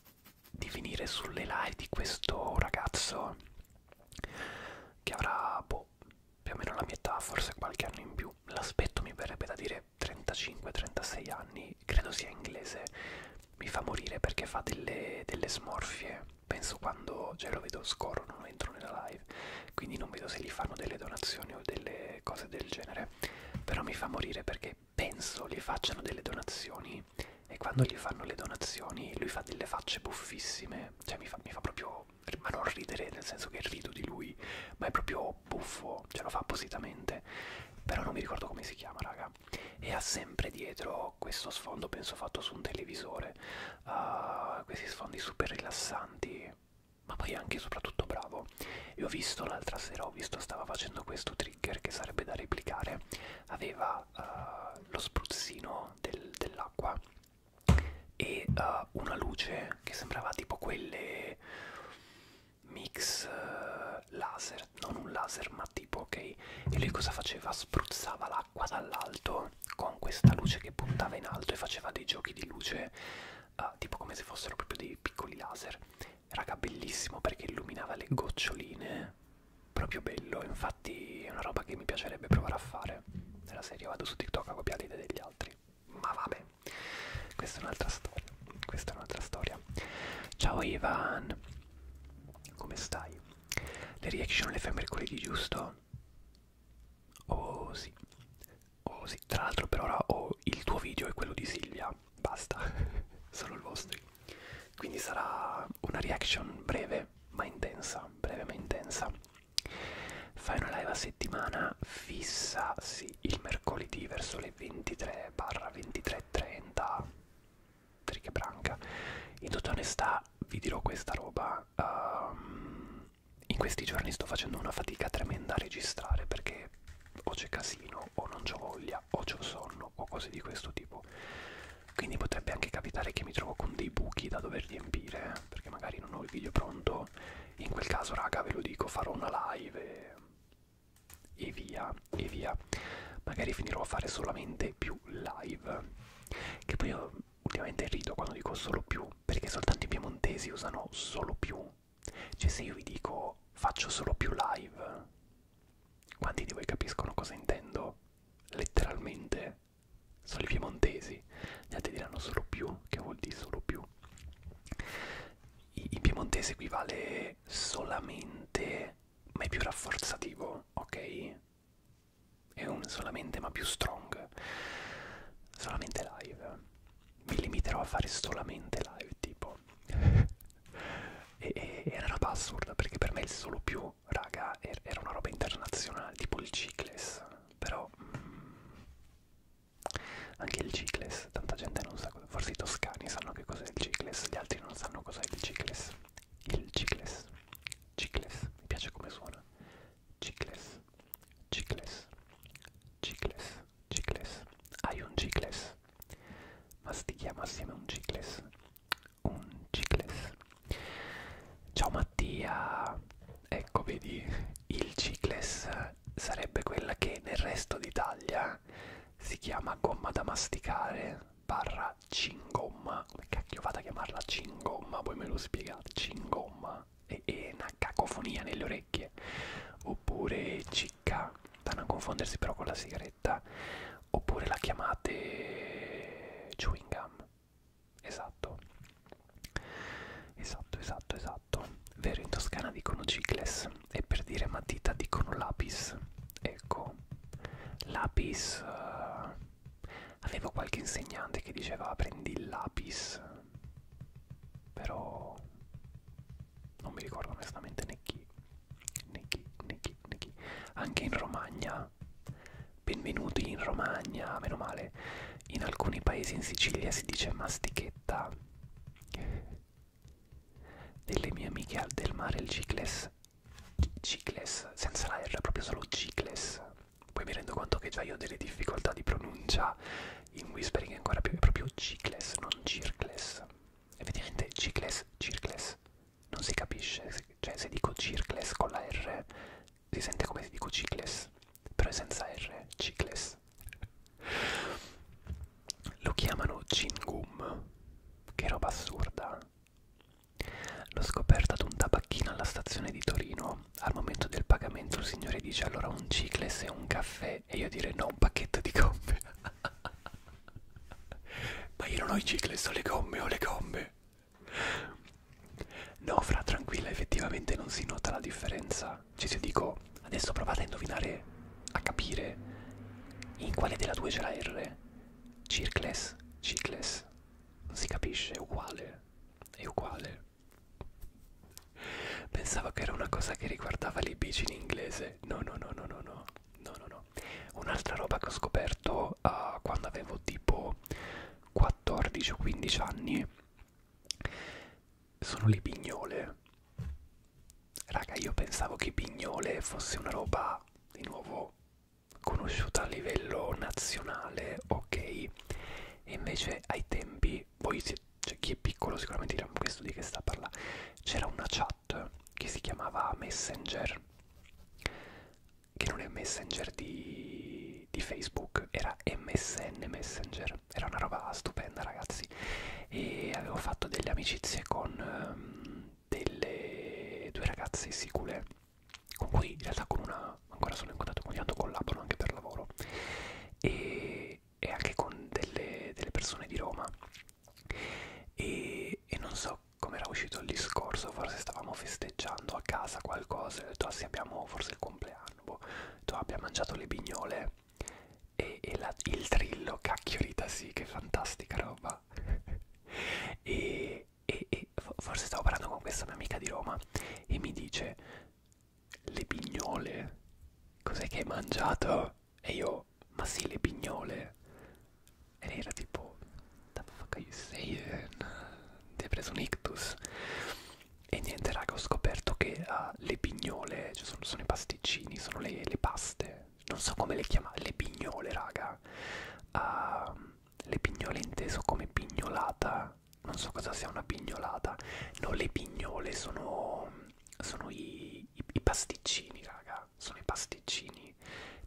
di finire sulle live di questo ragazzo che avrà boh, più o meno la mia età, forse qualche anno in più. L'aspetto mi verrebbe da dire 35-36 anni, credo sia inglese, mi fa morire perché fa delle, delle smorfie. Penso quando cioè, lo vedo scorro, non entro nella live, quindi non vedo se gli fanno delle donazioni o delle cose del genere. Però mi fa morire perché penso gli facciano delle donazioni e quando gli fanno le donazioni lui fa delle facce buffissime, cioè mi fa, mi fa proprio, ma non ridere nel senso che rido di lui, ma è proprio buffo, ce lo fa appositamente, però non mi ricordo come si chiama raga, e ha sempre dietro questo sfondo penso fatto su un televisore, uh, questi sfondi super rilassanti, ma poi anche e soprattutto bravo. E ho visto l'altra sera, ho visto stava facendo questo trigger che sarebbe da replicare, aveva uh, lo spruzzino del, dell'acqua e uh, una luce che sembrava tipo quelle mix uh, laser, non un laser ma tipo ok, e lui cosa faceva? Spruzzava l'acqua dall'alto con questa luce che puntava in alto e faceva dei giochi di luce uh, tipo come se fossero proprio dei piccoli laser, raga bellissimo perché illuminava le goccioline proprio bello, infatti è una roba che mi piacerebbe provare a fare. Nella serie vado su TikTok a copiare le idee degli altri. Ma vabbè, questa è un'altra storia. Questa è un'altra storia. Ciao Ivan, come stai? Le reaction le fai mercoledì, giusto? Oh sì, oh sì. Tra l'altro, per ora ho oh, il tuo video e quello di Silvia. Basta, solo il vostro. Quindi sarà una reaction breve breve ma intensa, breve ma intensa. Fai una live a settimana fissa, sì, il mercoledì verso le 23-23.30 Triche branca. In tutta onestà vi dirò questa roba. Um, in questi giorni sto facendo una fatica tremenda a registrare perché o c'è casino o non c'ho voglia o c'ho sonno o cose di questo tipo quindi potrebbe anche capitare che mi trovo con dei buchi da dover riempire perché magari non ho il video pronto in quel caso raga ve lo dico farò una live e, e via e via magari finirò a fare solamente più live che poi io ultimamente rido quando dico solo più perché soltanto i piemontesi usano solo più cioè se io vi dico faccio solo più live quanti di voi capiscono cosa intendo letteralmente sono i piemontesi, gli altri diranno solo più, che vuol dire solo più. In piemontese equivale solamente, ma è più rafforzativo, ok? È un solamente ma più strong. Solamente live. Mi limiterò a fare solamente live, tipo. e, e, era una roba assurda perché per me il solo più più, raga, er-, era una roba internazionale, tipo il Cicles, però mh, mm, anche il Cicles, tanta gente non sa cosa, forse i toscani sanno che cos'è il Cicles, gli altri non sanno cos'è il Cicles, il Cicles, Cicles, mi piace come suona, Cicles, Cicles, Cicles, Cicles, hai un Cicles, ma sti chiama assieme un Cicles, un cicles ciao Mattia ecco vedi il cicles sarebbe quella che nel resto d'Italia si chiama gomma da masticare barra cingomma come cacchio fate a chiamarla cingomma poi me lo spiegate cingomma e, e una cacofonia nelle orecchie oppure cicca da non confondersi però con la sigaretta oppure la chiamate chewing gum Esatto. Esatto, esatto, esatto. Vero, in Toscana dicono cicles e per dire matita dicono lapis. Ecco, lapis... Uh, avevo qualche insegnante che diceva prendi il lapis, però non mi ricordo onestamente né chi, né chi, né chi, né chi. Anche in Romagna Romagna, benvenuti in Romagna, meno male. In alcuni paesi in Sicilia si dice mastichetta. Delle mie amiche al del mare il cicles. Cicles, senza la R, proprio solo cicles. Poi mi rendo conto che già io ho delle difficoltà di pronuncia in whispering ancora più, è proprio cicles, non circles. Effettivamente cicles, circles, non si capisce cioè se dico Circles con la R si sente come se dico Cicles, però è senza R, Cicles. Lo chiamano Cingum, che roba assurda. L'ho scoperta ad un tabacchino alla stazione di Torino. Al momento del pagamento il signore dice allora un Cicles e un caffè e io dire no, un pacchetto di gomme. Ma io non ho i Cicles, ho le gomme, ho le gomme. No, fra tranquilla, effettivamente non si nota la differenza. Cioè, se dico, adesso provate a indovinare, a capire in quale della due c'è la R. Circles, cicles. Non si capisce, è uguale. È uguale. Pensavo che era una cosa che riguardava le bici in inglese. No, no, no, no, no, no. No, no, no. Un'altra roba che ho scoperto io uh, quando avevo tipo 14 o 15 anni sono le pignole raga io pensavo che pignole fosse una roba di nuovo conosciuta a livello nazionale ok e invece ai tempi voi siete cioè, chi è piccolo sicuramente dirà questo di che sta a parlare c'era una chat che si chiamava messenger che non è Messenger di, di Facebook, era MSN Messenger, era una roba stupenda ragazzi e avevo fatto delle amicizie con um, delle due ragazze sicule con cui in realtà con una ancora sono in contatto, ogni tanto collaboro anche per lavoro e, e anche con delle, delle persone di Roma e, e non so come era uscito il discorso, forse stavamo festeggiando a casa qualcosa cose, ho detto ah, sì, abbiamo forse il compleanno, boh. ho detto ah, abbiamo mangiato le bignole e, e la, il trillo, cacchiolita sì, che fantastica roba. e, e, e forse stavo parlando con questa mia amica di Roma e mi dice le bignole, cos'è che hai mangiato? E io, ma sì, le bignole. E lei era tipo, the fuck are you saying? Ti ha preso un ictus? E niente raga, ho scoperto che uh, le pignole, cioè sono, sono i pasticcini, sono le, le paste, non so come le chiamare, le pignole raga. Uh, le pignole inteso come pignolata, non so cosa sia una pignolata. No, le pignole sono, sono i, i, i pasticcini raga, sono i pasticcini.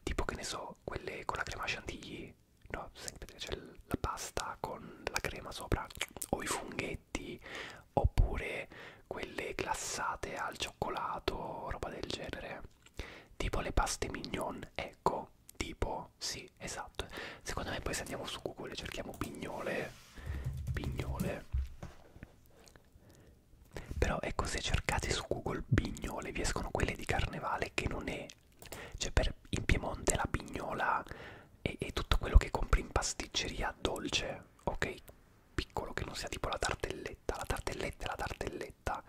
Tipo che ne so, quelle con la crema chantilly no, sempre c'è la pasta con la crema sopra o i funghetti oppure quelle glassate al cioccolato, roba del genere, tipo le paste mignon, ecco, tipo, sì, esatto. Secondo me poi se andiamo su Google e cerchiamo pignole, pignole, però ecco se cercate su Google pignole vi escono quelle di carnevale che non è cioè per il Piemonte la pignola e, e tutto quello che compri in pasticceria dolce, ok? Piccolo che non sia tipo la tartelletta, la tartelletta è la tartelletta.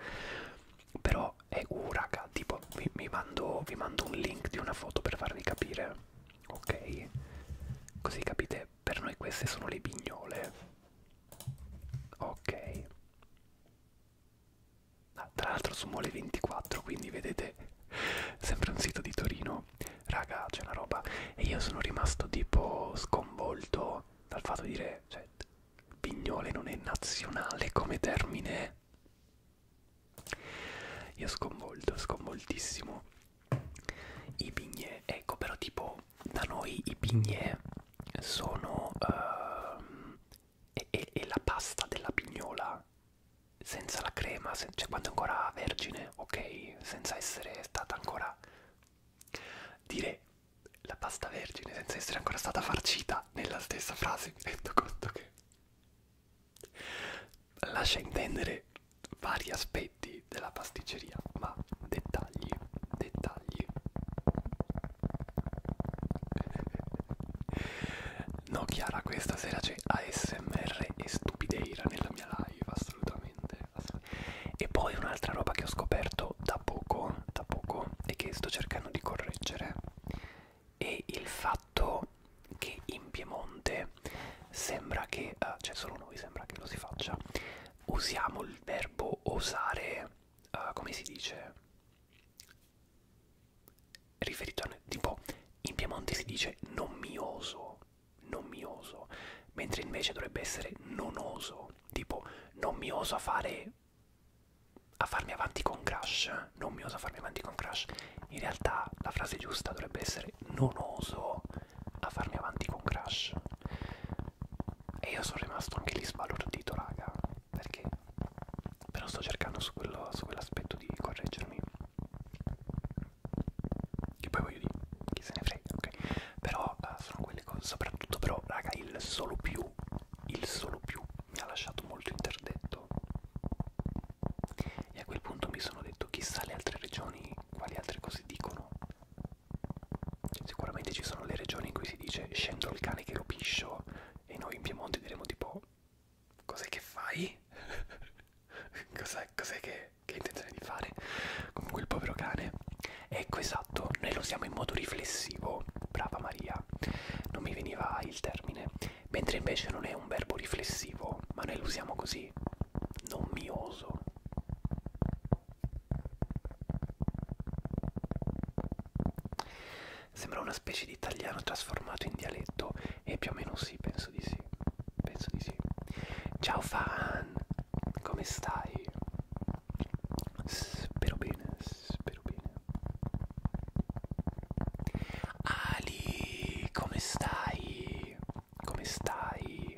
Però è uh raga, tipo vi, vi, mando, vi mando un link di una foto per farvi capire, ok? Così capite, per noi queste sono le pignole. Ok. Ah, tra l'altro su Mole 24, quindi vedete sempre un sito di Torino. Raga, c'è una roba. E io sono rimasto tipo sconvolto dal fatto di dire, cioè, pignole non è nazionale come termine. Io sconvolto, sconvoltissimo. I pignè, ecco però tipo da noi i pignè sono... Uh, è, è, è la pasta della pignola mangiata senza la crema, se, cioè quando è ancora vergine, ok, senza essere stata ancora dire la pasta vergine senza essere ancora stata farcita nella stessa frase, mi rendo conto che lascia intendere vari aspetti della pasticceria, ma dettagli, dettagli. No Chiara, questa sera c'è ASMR e stupideira nella mia live, assolutamente. E poi un'altra roba che ho scoperto da poco, da poco, e che sto cercando di correggere, è il fatto che in Piemonte sembra che, uh, cioè solo noi sembra che lo si faccia, usiamo il verbo osare, uh, come si dice? riferito a tipo in Piemonte si dice non mi oso, non mi oso, mentre invece dovrebbe essere non oso, tipo non mi oso a fare a farmi avanti con Crash, eh? non mi oso a farmi avanti con Crash. In realtà la frase giusta dovrebbe essere non oso a farmi avanti con Crash. E io sono rimasto anche lì sbalordito, raga perché però sto cercando su quell'aspetto quell di correggermi che poi voglio dire chi se ne frega ok però uh, sono quelle cose soprattutto però raga il solo più il solo più mi ha lasciato molto interdetto e a quel punto mi sono detto chissà le altre regioni quali altre cose dicono cioè, sicuramente ci sono le regioni in cui si dice scendo il cane che lo piscio e noi in Piemonte diremo tipo cos'è che fai? cos'è, cos'è che, che hai intenzione di fare? Comunque il povero cane. Ecco esatto, noi lo usiamo in modo riflessivo, brava Maria, non mi veniva il termine, mentre invece non è un verbo riflessivo, ma noi lo usiamo così, non mi oso. Sembra una specie di italiano trasformato in dialetto e più o meno sì, penso di sì. Penso di sì. Ciao fan, come stai? Spero bene, spero bene. Ali, come stai? Come stai?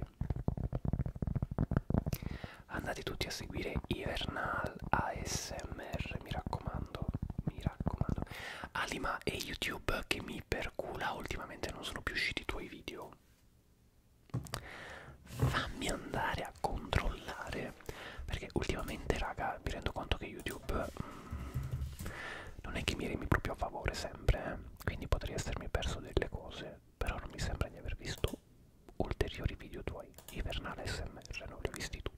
Andate tutti a seguire Ivernal ASMR R, mi raccomando, mi raccomando. Alima e YouTube che mi percula, ultimamente non sono più usciti i tuoi video. Fammi andare a controllare, perché ultimamente, raga, mi rendo conto che YouTube mm, non è che mi remi proprio a favore sempre, eh? quindi potrei essermi perso delle cose, però non mi sembra di aver visto ulteriori video tuoi. Ivernale SMR, non li ho visti tutti.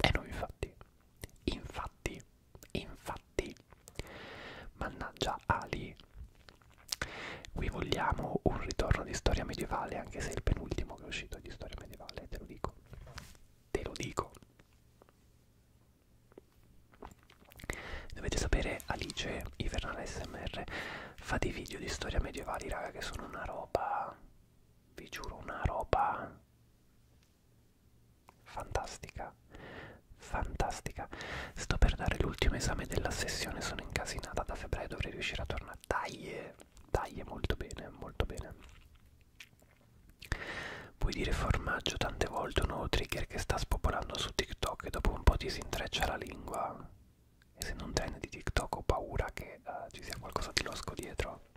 E eh no, infatti, infatti, infatti, mannaggia Ali, qui vogliamo un ritorno di storia medievale, anche se il penultimo che è uscito è di storia medievale, te lo dico, te lo dico. Dovete sapere, Alice Ivernale SMR fa dei video di storia medievali, raga, che sono una roba vi giuro una roba fantastica fantastica sto per dare l'ultimo esame della sessione sono incasinata da febbraio dovrei riuscire a tornare dai eh, dai molto bene molto bene puoi dire formaggio tante volte un nuovo trigger che sta spopolando su tiktok e dopo un po' ti si intreccia la lingua e se non trend di tiktok ho paura che uh, ci sia qualcosa di losco dietro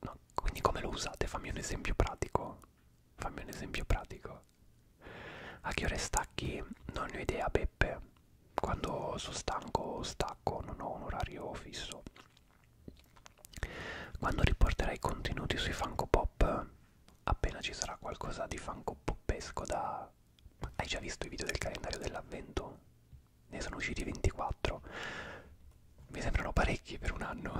no. Quindi come lo usate? Fammi un esempio pratico. Fammi un esempio pratico. A che ore stacchi? Non ne ho idea, Beppe. Quando sono stanco, stacco, non ho un orario fisso. Quando riporterai contenuti sui Funko Pop, appena ci sarà qualcosa di Funko Popesco da... Hai già visto i video del calendario dell'avvento? Ne sono usciti 24 mi sembrano parecchi per un anno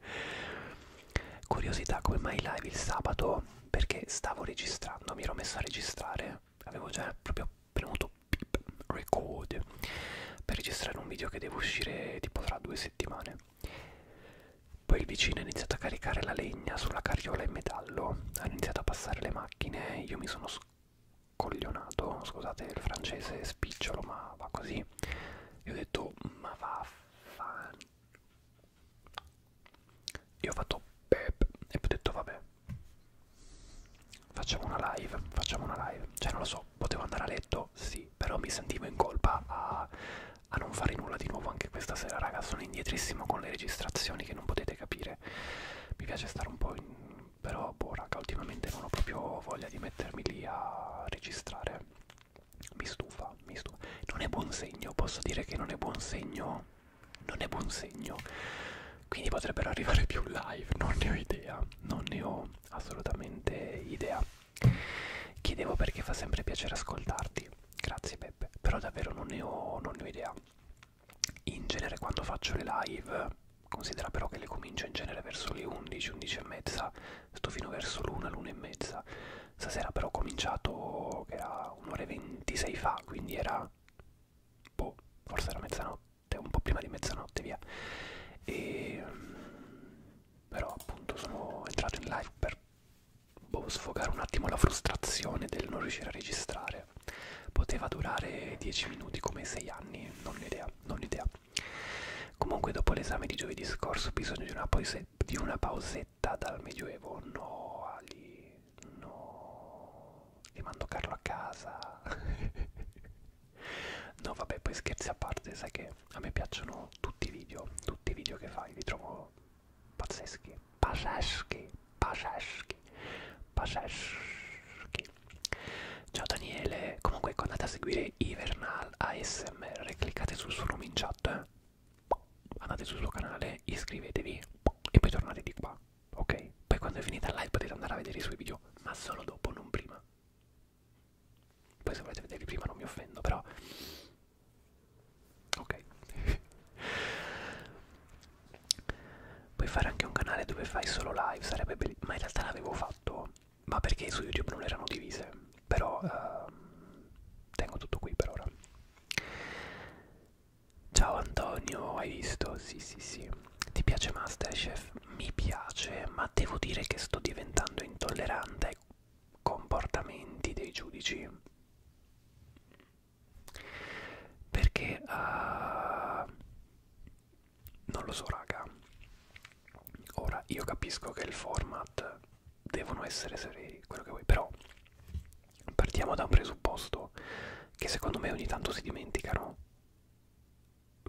curiosità come mai live il sabato perché stavo registrando mi ero messo a registrare avevo già proprio premuto beep, record per registrare un video che deve uscire tipo tra due settimane poi il vicino ha iniziato a caricare la legna sulla carriola in metallo hanno iniziato a passare le macchine io mi sono coglionato, scusate il francese spicciolo, ma va così. Io ho detto, ma va fan. Io ho fatto pep e poi ho detto, vabbè, facciamo una live, facciamo una live. Cioè, non lo so, potevo andare a letto, sì, però mi sentivo in colpa a, a non fare nulla di nuovo anche questa sera, raga. Sono indietrissimo con le registrazioni che non potete capire. Mi piace stare un po' in però boh raga ultimamente non ho proprio voglia di mettermi lì a registrare mi stufa mi stufa non è buon segno posso dire che non è buon segno non è buon segno quindi potrebbero arrivare più live non ne ho idea non ne ho assolutamente idea chiedevo perché fa sempre piacere ascoltarti grazie Beppe però davvero non ne ho, non ne ho idea in genere quando faccio le live considera però che le comincio in genere verso le 11, 11 e mezza, sto fino verso l'una, l'una e mezza. Stasera però ho cominciato che era un'ora e 26 fa, quindi era boh, forse era mezzanotte, un po' prima di mezzanotte via. E mm, però appunto sono entrato in live per boh, sfogare un attimo la frustrazione del non riuscire a registrare. Poteva durare 10 minuti come 6 anni, non ho idea, non ho idea. Comunque dopo l'esame di giovedì scorso ho bisogno di una, di una pausetta dal medioevo. No, Ali, no. Ti mando Carlo a casa. no, vabbè, poi scherzi a parte, sai che a me piacciono tutti i video, tutti i video che fai, li trovo pazzeschi. Pazzeschi, pazzeschi, pazzeschi. Ciao Daniele, comunque andate a seguire Ivernal ASMR, cliccate sul suo nome in chat, eh? andate sul suo canale, iscrivetevi e poi tornate di qua, ok? Poi quando è finita la live potete andare a vedere i suoi video, ma solo dopo, non prima. Poi se volete vederli prima non mi offendo, però... Ok. Puoi fare anche un canale dove fai solo live, sarebbe bellissimo. Ma in realtà l'avevo fatto ma perché su YouTube non erano divise. Però uh, tengo tutto qui per ora. Ciao Antonio, hai visto? Sì, sì, sì. Ti piace Masterchef? Mi piace, ma devo dire che sto diventando intollerante ai comportamenti dei giudici. Perché uh, non lo so raga ora io capisco che il format devono essere seri quello che vuoi però partiamo da un presupposto che secondo me ogni tanto si dimenticano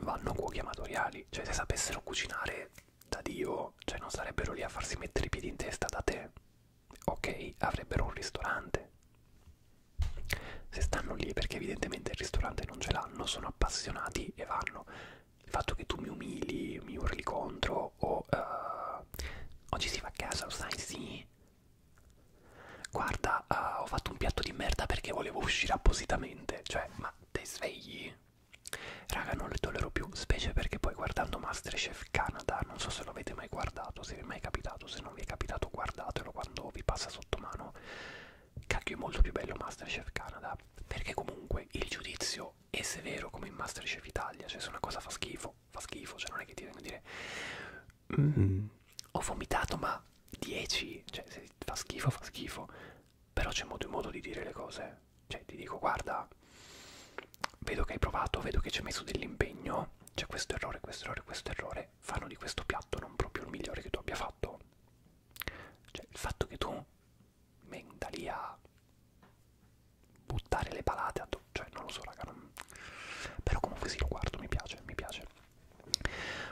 vanno cuochi amatoriali cioè se sapessero cucinare da dio cioè non sarebbero lì a farsi mettere i piedi in testa da te ok avrebbero un ristorante se stanno lì perché evidentemente il ristorante non ce l'hanno sono appassionati e vanno il fatto che tu mi umili, mi urli contro o uh, oggi si va a casa, lo sai, sì. Guarda, uh, ho fatto un piatto di merda perché volevo uscire appositamente, cioè, ma te svegli? Raga, non le tollero più, specie perché poi guardando Masterchef Canada, non so se lo avete mai guardato, se vi è mai capitato, se non vi è capitato guardatelo quando vi passa sotto mano. Cacchio è molto più bello Masterchef Canada, perché comunque il giudizio è severo come in Masterchef Italia, cioè se una cosa fa schifo, fa schifo, cioè non è che ti vengono a dire mm, ho vomitato ma 10, cioè se fa schifo, fa schifo, però c'è modo e modo di dire le cose, cioè ti dico guarda, vedo che hai provato, vedo che ci hai messo dell'impegno, c'è questo errore, questo errore, questo errore, fanno di questo piatto non proprio il migliore che tu abbia fatto. Cioè il fatto che tu venga lì a buttare le palate a cioè non lo so raga non... però comunque sì lo guardo mi piace mi piace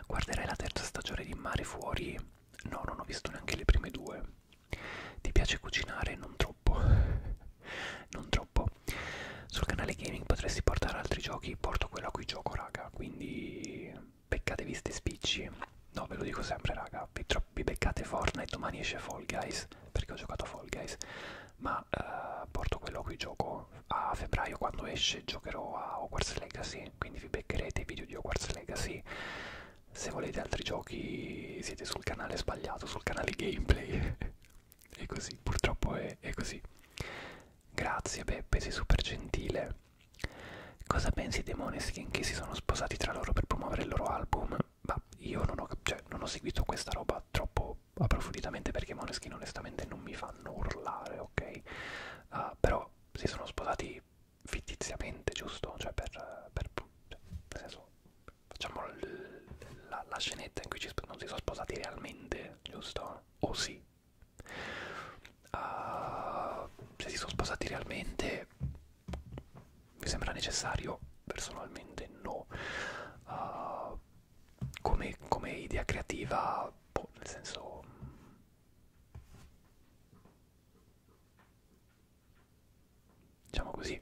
guarderai la terza stagione di mare fuori no non ho visto neanche le prime due ti piace cucinare non troppo non troppo sul canale gaming potresti portare altri giochi porto quello a cui gioco raga quindi beccatevi sti spicci no ve lo dico sempre raga vi, vi beccate Fortnite domani esce Fall Guys perché ho giocato a Fall Guys ma eh, porto quello a cui gioco a febbraio quando esce giocherò a Hogwarts Legacy quindi vi beccherete i video di Hogwarts Legacy se volete altri giochi siete sul canale sbagliato sul canale gameplay è così purtroppo è, è così grazie Beppe sei super gentile Cosa pensi dei Moneskin che si sono sposati tra loro per promuovere il loro album? Ma io non ho, cioè, non ho seguito questa roba troppo approfonditamente perché Moneskin onestamente non mi fanno urlare, ok? Uh, però si sono sposati fittiziamente, giusto? Cioè per... per cioè, nel senso, facciamo la, la scenetta in cui ci, non si sono sposati realmente, giusto? O sì? uh, se si sono sposati realmente mi sembra necessario personalmente no uh, come, come idea creativa boh, nel senso diciamo così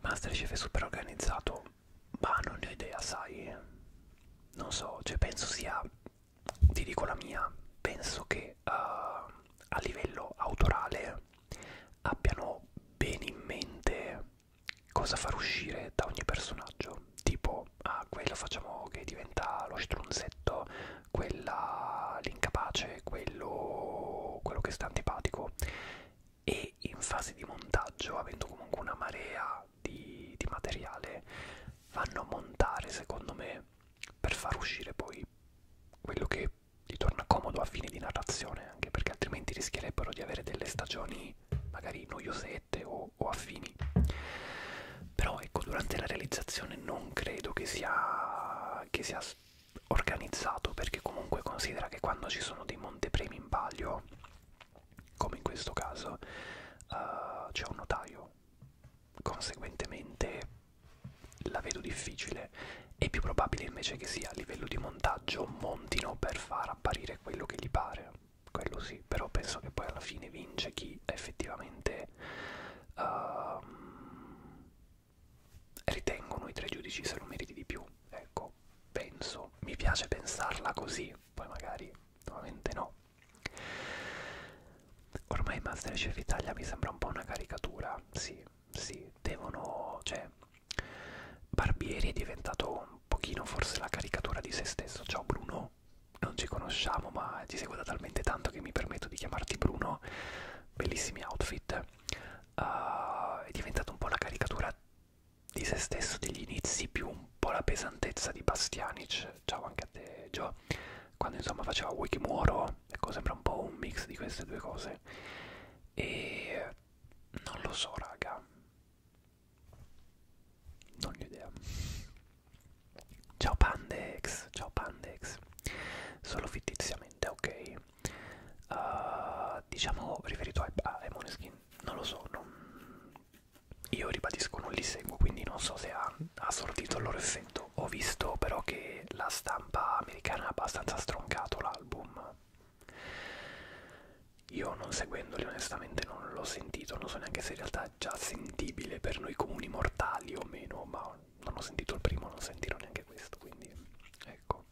Masterchef è super organizzato ma non ne ho idea sai non so cioè penso sia ti dico la mia, penso che uh, a livello autorale abbiano bene in mente cosa far uscire da ogni personaggio, tipo ah, quello facciamo che diventa lo strunzetto, quella l'incapace, quello, quello che sta antipatico e in fase di montaggio, avendo comunque una marea di, di materiale vanno a montare secondo me per far uscire poi quello che gli torna comodo a fine di narrazione anche perché altrimenti rischierebbero di avere delle stagioni magari noiosette o, o affini però ecco durante la realizzazione non credo che sia, che sia organizzato perché comunque considera che quando ci sono dei montepremi in palio come in questo caso uh, c'è un notaio conseguentemente la vedo difficile. È più probabile invece che sia a livello di montaggio montino per far apparire quello che gli pare, quello sì, però penso che poi alla fine vince chi effettivamente uh, ritengono i tre giudici se lo meriti di più, ecco, penso, mi piace pensarla così, poi magari nuovamente no. Ormai Masterchef Italia mi sembra un po' una caricatura, sì, sì, devono, cioè, Barbieri è diventato un pochino forse la caricatura di se stesso, ciao Bruno, non ci conosciamo ma ti seguo da talmente tanto che mi permetto di chiamarti Bruno, bellissimi outfit, uh, è diventato un po' la caricatura di se stesso degli inizi più un po' la pesantezza di Bastianic Flash, ciao anche a te Gio, quando insomma faceva Wikimuoro, ecco sembra un po' un mix di queste due cose e non lo so raga, non ho idea. Ciao Pandex, ciao Pandex, solo fittiziamente ok. Uh, diciamo riferito a, a Moneskin, non lo so, non, io ribadisco non li seguo, quindi non so se ha, ha sortito il loro effetto. Ho visto però che la stampa americana ha abbastanza stroncato l'album. Io non seguendoli onestamente non l'ho sentito, non so neanche se in realtà è già sentibile per noi comuni mortali o meno, ma non ho sentito il primo, non sentirò neanche questo, quindi ecco.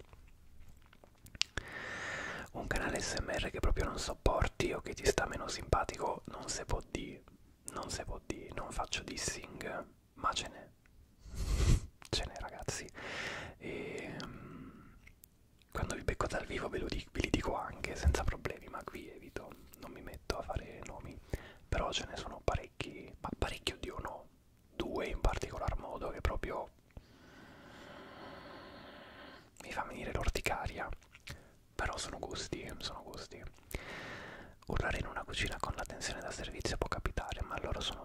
Un canale SMR che proprio non sopporti o che ti sta meno simpatico non se può dire non si può dire, non faccio dissing, ma ce n'è, ce n'è ragazzi. E, um, quando vi becco dal vivo ve, lo di ve li dico anche senza problemi, ma qui evito, non mi metto a fare nomi, però ce ne sono parecchi, ma parecchio di no, due in particolar modo che proprio mi fa venire l'orticaria però sono gusti, sono gusti. Urlare in una cucina con la tensione da servizio può capitare, ma, loro sono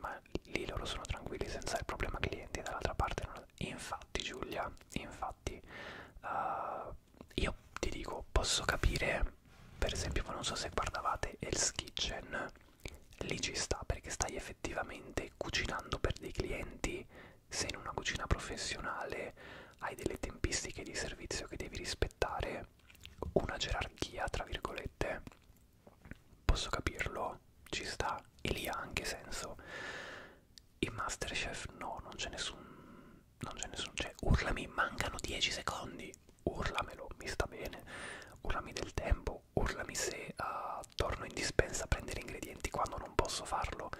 ma lì loro sono tranquilli senza il problema clienti dall'altra parte. Non... Infatti Giulia, infatti uh, io ti dico, posso capire, per esempio, non so se guardavate Hell's Kitchen, lì ci sta perché stai effettivamente cucinando per dei clienti, sei in una cucina professionale hai delle tempistiche di servizio che devi rispettare, una gerarchia, tra virgolette, posso capirlo, ci sta, e lì ha anche senso. In Masterchef no, non c'è nessun... non c'è nessun... cioè, urlami, mancano 10 secondi, urlamelo, mi sta bene, urlami del tempo, urlami se uh, torno in dispensa a prendere ingredienti quando non posso farlo,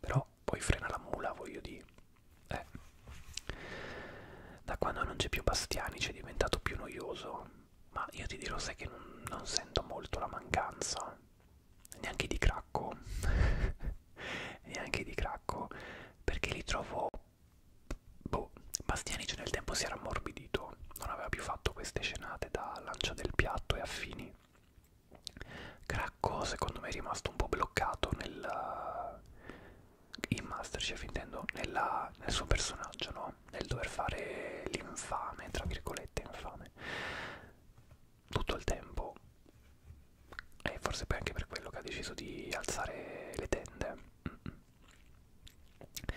però poi frena la mula, voglio dire. Eh. Da quando non c'è più Bastiani c'è diventato più noioso. Ma io ti dirò, sai che non, non sento molto la mancanza. Neanche di cracco. Neanche di cracco. Perché li trovo... Boh, Bastianic nel tempo si era ammorbidito, non aveva più fatto queste scenate da lancia del piatto e affini. Cracco secondo me è rimasto un po' bloccato nel, in Masterchef intendo, nella, nel suo personaggio, no? Nel dover fare l'infame, tra virgolette infame, tutto il tempo. E forse poi anche per quello che ha deciso di alzare le tende. Mm -mm.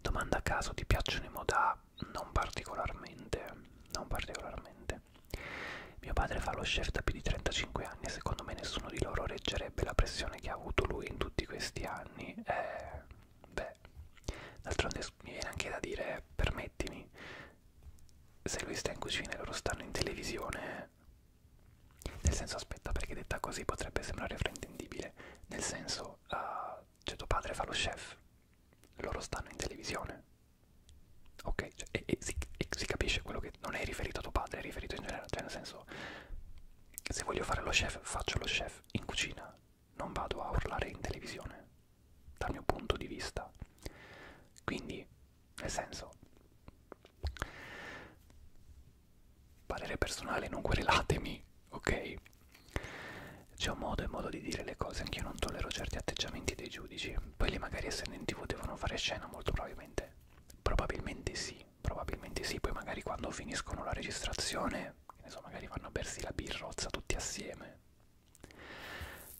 Domanda a caso, ti piacciono i moda? Non particolarmente, non particolarmente me. Mio padre fa lo chef da più di 35 anni e secondo me nessuno di loro reggerebbe la pressione che ha avuto lui in tutti questi anni. Eh, beh, d'altronde mi viene anche da dire, permettimi, se lui sta in cucina e loro stanno in televisione, nel senso aspetta perché detta così potrebbe sembrare fraintendibile, nel senso, uh, cioè tuo padre fa lo chef, loro stanno in televisione ok? Cioè, e, e, si, e si capisce quello che non è riferito a tuo padre, è riferito in generale, cioè nel senso, se voglio fare lo chef, faccio lo chef in cucina, non vado a urlare in televisione, dal mio punto di vista. Quindi, nel senso, parere personale, non querelatemi, ok? C'è un modo e modo di dire le cose, anch'io non tollero certi atteggiamenti dei giudici poi le magari essendo in tv devono fare scena molto probabilmente probabilmente sì probabilmente sì poi magari quando finiscono la registrazione che ne so magari vanno a bersi la birrozza tutti assieme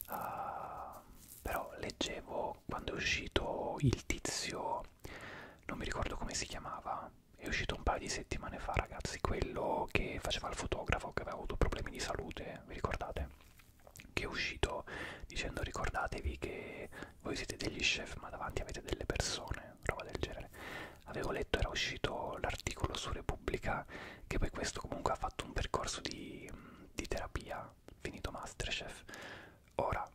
uh, però leggevo quando è uscito il tizio non mi ricordo come si chiamava è uscito un paio di settimane fa ragazzi quello che faceva il fotografo che aveva avuto problemi di salute vi ricordate che è uscito dicendo ricordatevi che voi siete degli chef ma davanti avete delle persone, roba del genere. Avevo letto, era uscito l'articolo su Repubblica che poi questo comunque ha fatto un percorso di, di terapia, finito Masterchef. Ora,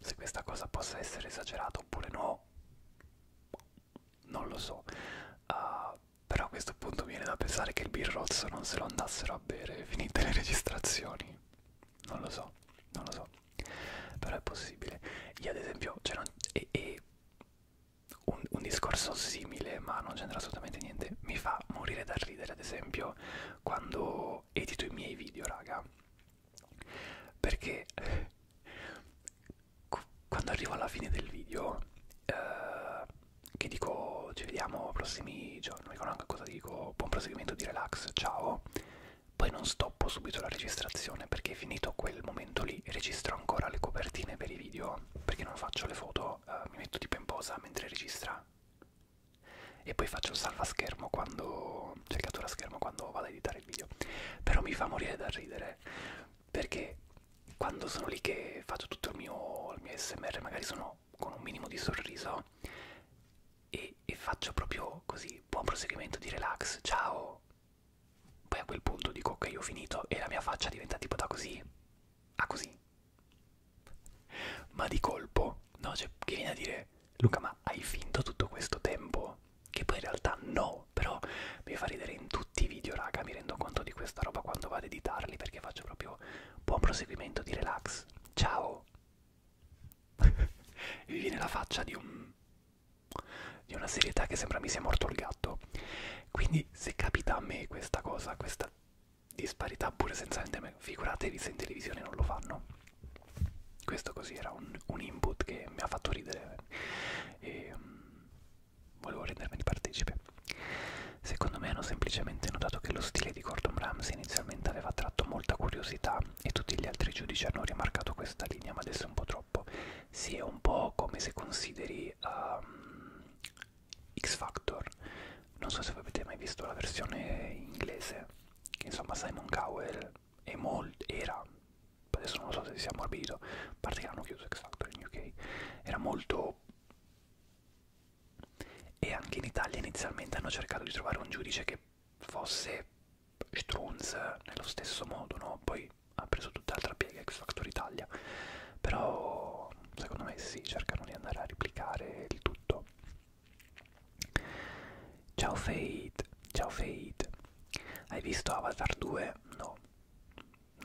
se questa cosa possa essere esagerata oppure no, non lo so. Uh, però a questo punto viene da pensare che il birrozzo non se lo andassero a bere finite le registrazioni. Non lo so, non lo so. Però è possibile. Io ad esempio, cioè non, e, e un, un discorso simile, ma non c'entra assolutamente niente, mi fa morire da ridere ad esempio quando edito i miei video, raga. Perché quando arrivo alla fine del video... Eh, che dico ci vediamo prossimi giorni, non ricordo anche cosa dico, buon proseguimento di relax, ciao. Poi non stoppo subito la registrazione perché finito quel momento lì registro ancora le copertine per i video perché non faccio le foto, eh, mi metto tipo in posa mentre registra e poi faccio il salva schermo quando, cioè cattura schermo quando vado a editare il video. Però mi fa morire da ridere perché quando sono lì che faccio tutto il mio, il mio smr magari sono mano con un minimo di sorriso e, e faccio proprio così buon proseguimento di relax ciao poi a quel punto dico ok ho finito e la mia faccia diventa tipo da così a così ma di colpo no cioè che viene a dire Luca ma hai finto tutto questo tempo che poi in realtà no però mi fa ridere in tutti i video raga mi rendo conto di questa roba quando vado ad editarli perché faccio proprio Buon proseguimento di relax. Ciao. Mi viene la faccia di un di una serietà che sembra mi sia morto il gatto. Quindi se capita a me questa cosa, questa disparità pure senza interme, figuratevi se in televisione non lo fanno. Questo così era un, un input che mi ha fatto ridere e um, volevo rendermene partecipe comunque. Secondo me hanno semplicemente notato che lo stile di Gordon Ramsay inizialmente aveva attratto molta curiosità e tutti gli altri giudici hanno rimarcato questa linea, ma adesso è un po' troppo. Sì, è un po' come se consideri um, X Factor. Non so se avete mai visto la versione inglese, che insomma Simon Cowell è era, adesso non lo so se si sia ammorbidito, a parte che l'hanno chiuso X Factor in UK, era molto e anche in Italia inizialmente hanno cercato di trovare un giudice che fosse Strunz nello stesso modo, no? Poi ha preso tutt'altra piega X Factor Italia, però secondo me sì, cercano di andare a replicare il tutto. Ciao Fate, ciao Fate, hai visto Avatar 2? No,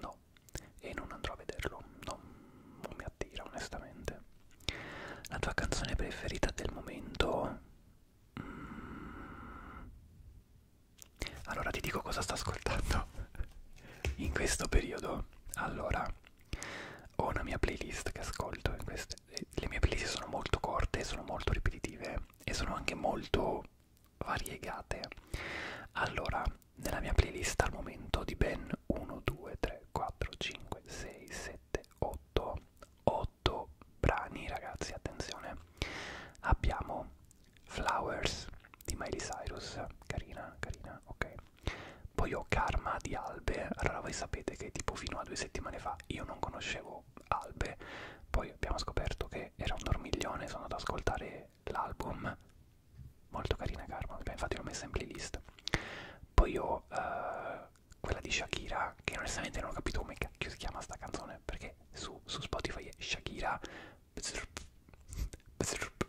no, e non andrò a vederlo, no, non mi attira onestamente. La tua canzone preferita del momento? Mm. Allora ti dico cosa sto ascoltando in questo periodo. Allora, ho una mia playlist che ascolto. Queste, le mie playlist sono molto corte, sono molto ripetitive e sono anche molto variegate. Allora, nella mia playlist al momento di ben 1, 2, 3, 4, 5, 6, 7, 8, 8 brani ragazzi, attenzione. Abbiamo Flowers di Miley Cyrus, carina, carina, ok. Poi ho Karma di Albe, allora voi sapete che tipo fino a due settimane fa io non conoscevo Albe, poi abbiamo scoperto che era un dormiglione, sono andato ad ascoltare l'album molto carina Karma, infatti l'ho messa in playlist. Poi ho uh, quella di Shakira, che onestamente non ho capito come cacchio si chiama sta canzone, perché su, su Spotify è Shakira bzzrup, bzzrup,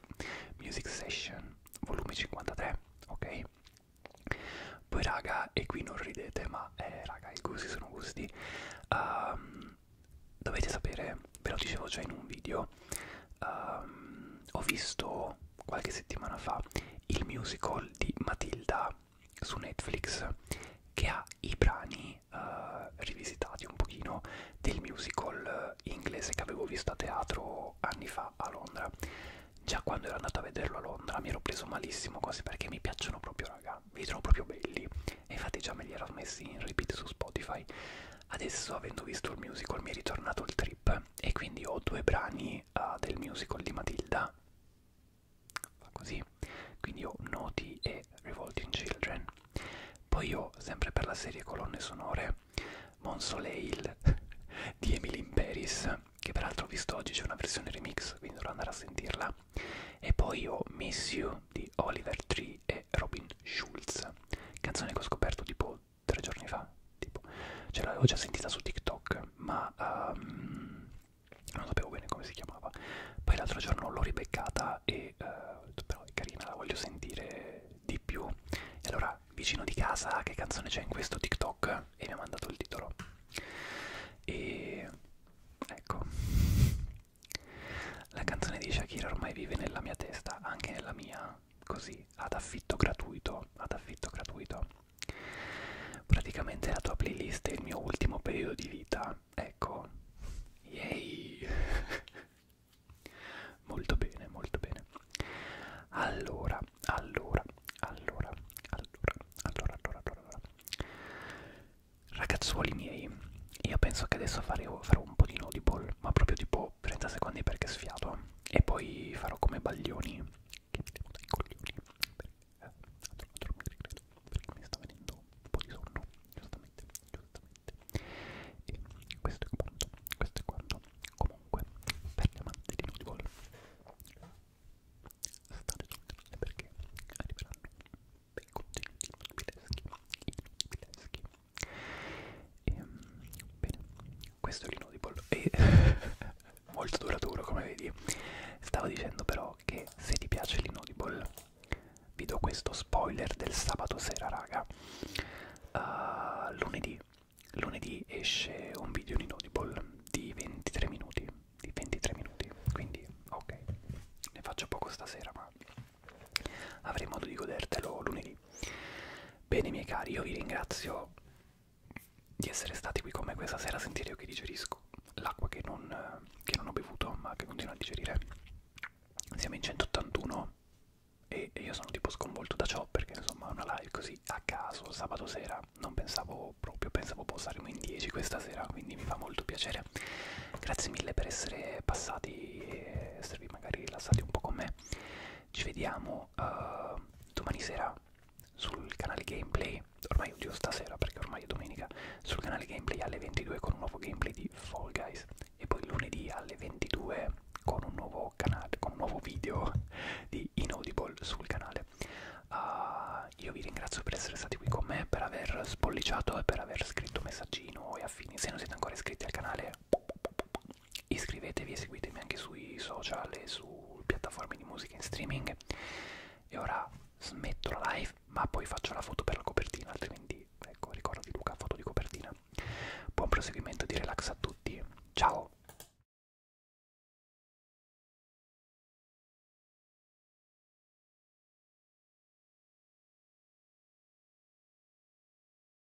Music Session, volume 53, ok? Poi raga, e qui non ridete, ma eh, raga, i gusti sono gusti. Um, dovete sapere, ve lo dicevo già in un video, um, ho visto qualche settimana fa il musical di Matilda su Netflix che ha i brani uh, rivisitati un pochino del musical eh, inglese che avevo visto a teatro anni fa a Londra già quando ero andato a vederlo a Londra mi ero preso malissimo cose perché mi piacciono proprio raga vi trovo proprio belli e infatti già me li ero messi in repeat su Spotify adesso avendo visto il musical mi è ritornato il trip e quindi ho due brani uh, del musical di Matilda fa così quindi ho Noti e Revolting Children poi ho sempre per la serie colonne sonore Monsoleil di Emily in Paris che peraltro ho visto oggi c'è una versione remix quindi dovrò andare a sentirla e poi ho Miss You di Oliver Tree e Robin Schulz canzone che ho scoperto tipo tre giorni fa, tipo, ce cioè, l'avevo già sentita su TikTok, ma um, non sapevo bene come si chiamava. Poi l'altro giorno l'ho ribeccata e uh, però è carina, la voglio sentire di più. E allora, vicino di casa, che canzone c'è in questo TikTok? E mi ha mandato il titolo. E ecco, la canzone di Shakira ormai vive nella mia testa, anche nella mia, così ad affitto gratuito ad affitto gratuito praticamente la tua playlist è il mio ultimo periodo di vita ecco yay molto bene molto bene allora allora allora allora allora allora allora ragazzuoli miei io penso che adesso farò, farò un po' di notable ma proprio tipo 30 secondi perché sfiato e poi farò come Baglioni che mi devo dai coglioni perché, eh, perché mi sta venendo un po' di sonno giustamente giustamente e questo è quanto questo è quanto comunque per gli amanti di Nudiball state tutte perché arriveranno bei contenuti nudibileschi nudibileschi e ehm, bene questo è l'inaudible e molto duraturo come vedi stavo dicendo però che se ti piace l'inaudible vi do questo spoiler del sabato sera raga uh, lunedì lunedì esce un video in inaudible di 23 minuti di 23 minuti quindi ok ne faccio poco stasera ma avrai modo di godertelo lunedì bene miei cari io vi ringrazio di essere stati qui con me questa sera. Sentire io che digerisco l'acqua che non, eh, che non ho bevuto, ma che continuo a digerire. Siamo in 181 e, e io sono tipo sconvolto da ciò perché insomma una live così a caso sabato sera non pensavo proprio, pensavo saremo in 10 questa sera, quindi mi fa molto piacere. Grazie mille per essere passati e esservi magari rilassati un po' con me ci vediamo uh, domani sera sul canale gameplay ormai oddio stasera perché ormai è domenica sul canale gameplay alle 22 con un nuovo gameplay di Fall Guys e poi lunedì alle 22 con un nuovo canale con un nuovo video di Inaudible sul canale uh, io vi ringrazio per essere stati qui con me per aver spolliciato e per aver scritto messaggino e affini se non siete ancora iscritti al canale iscrivetevi e seguitemi anche sui social e su piattaforme di musica in streaming e ora smetto la live ma poi faccio la foto per la copertina altrimenti ecco ricordo di Luca foto di copertina buon proseguimento di relax a tutti ciao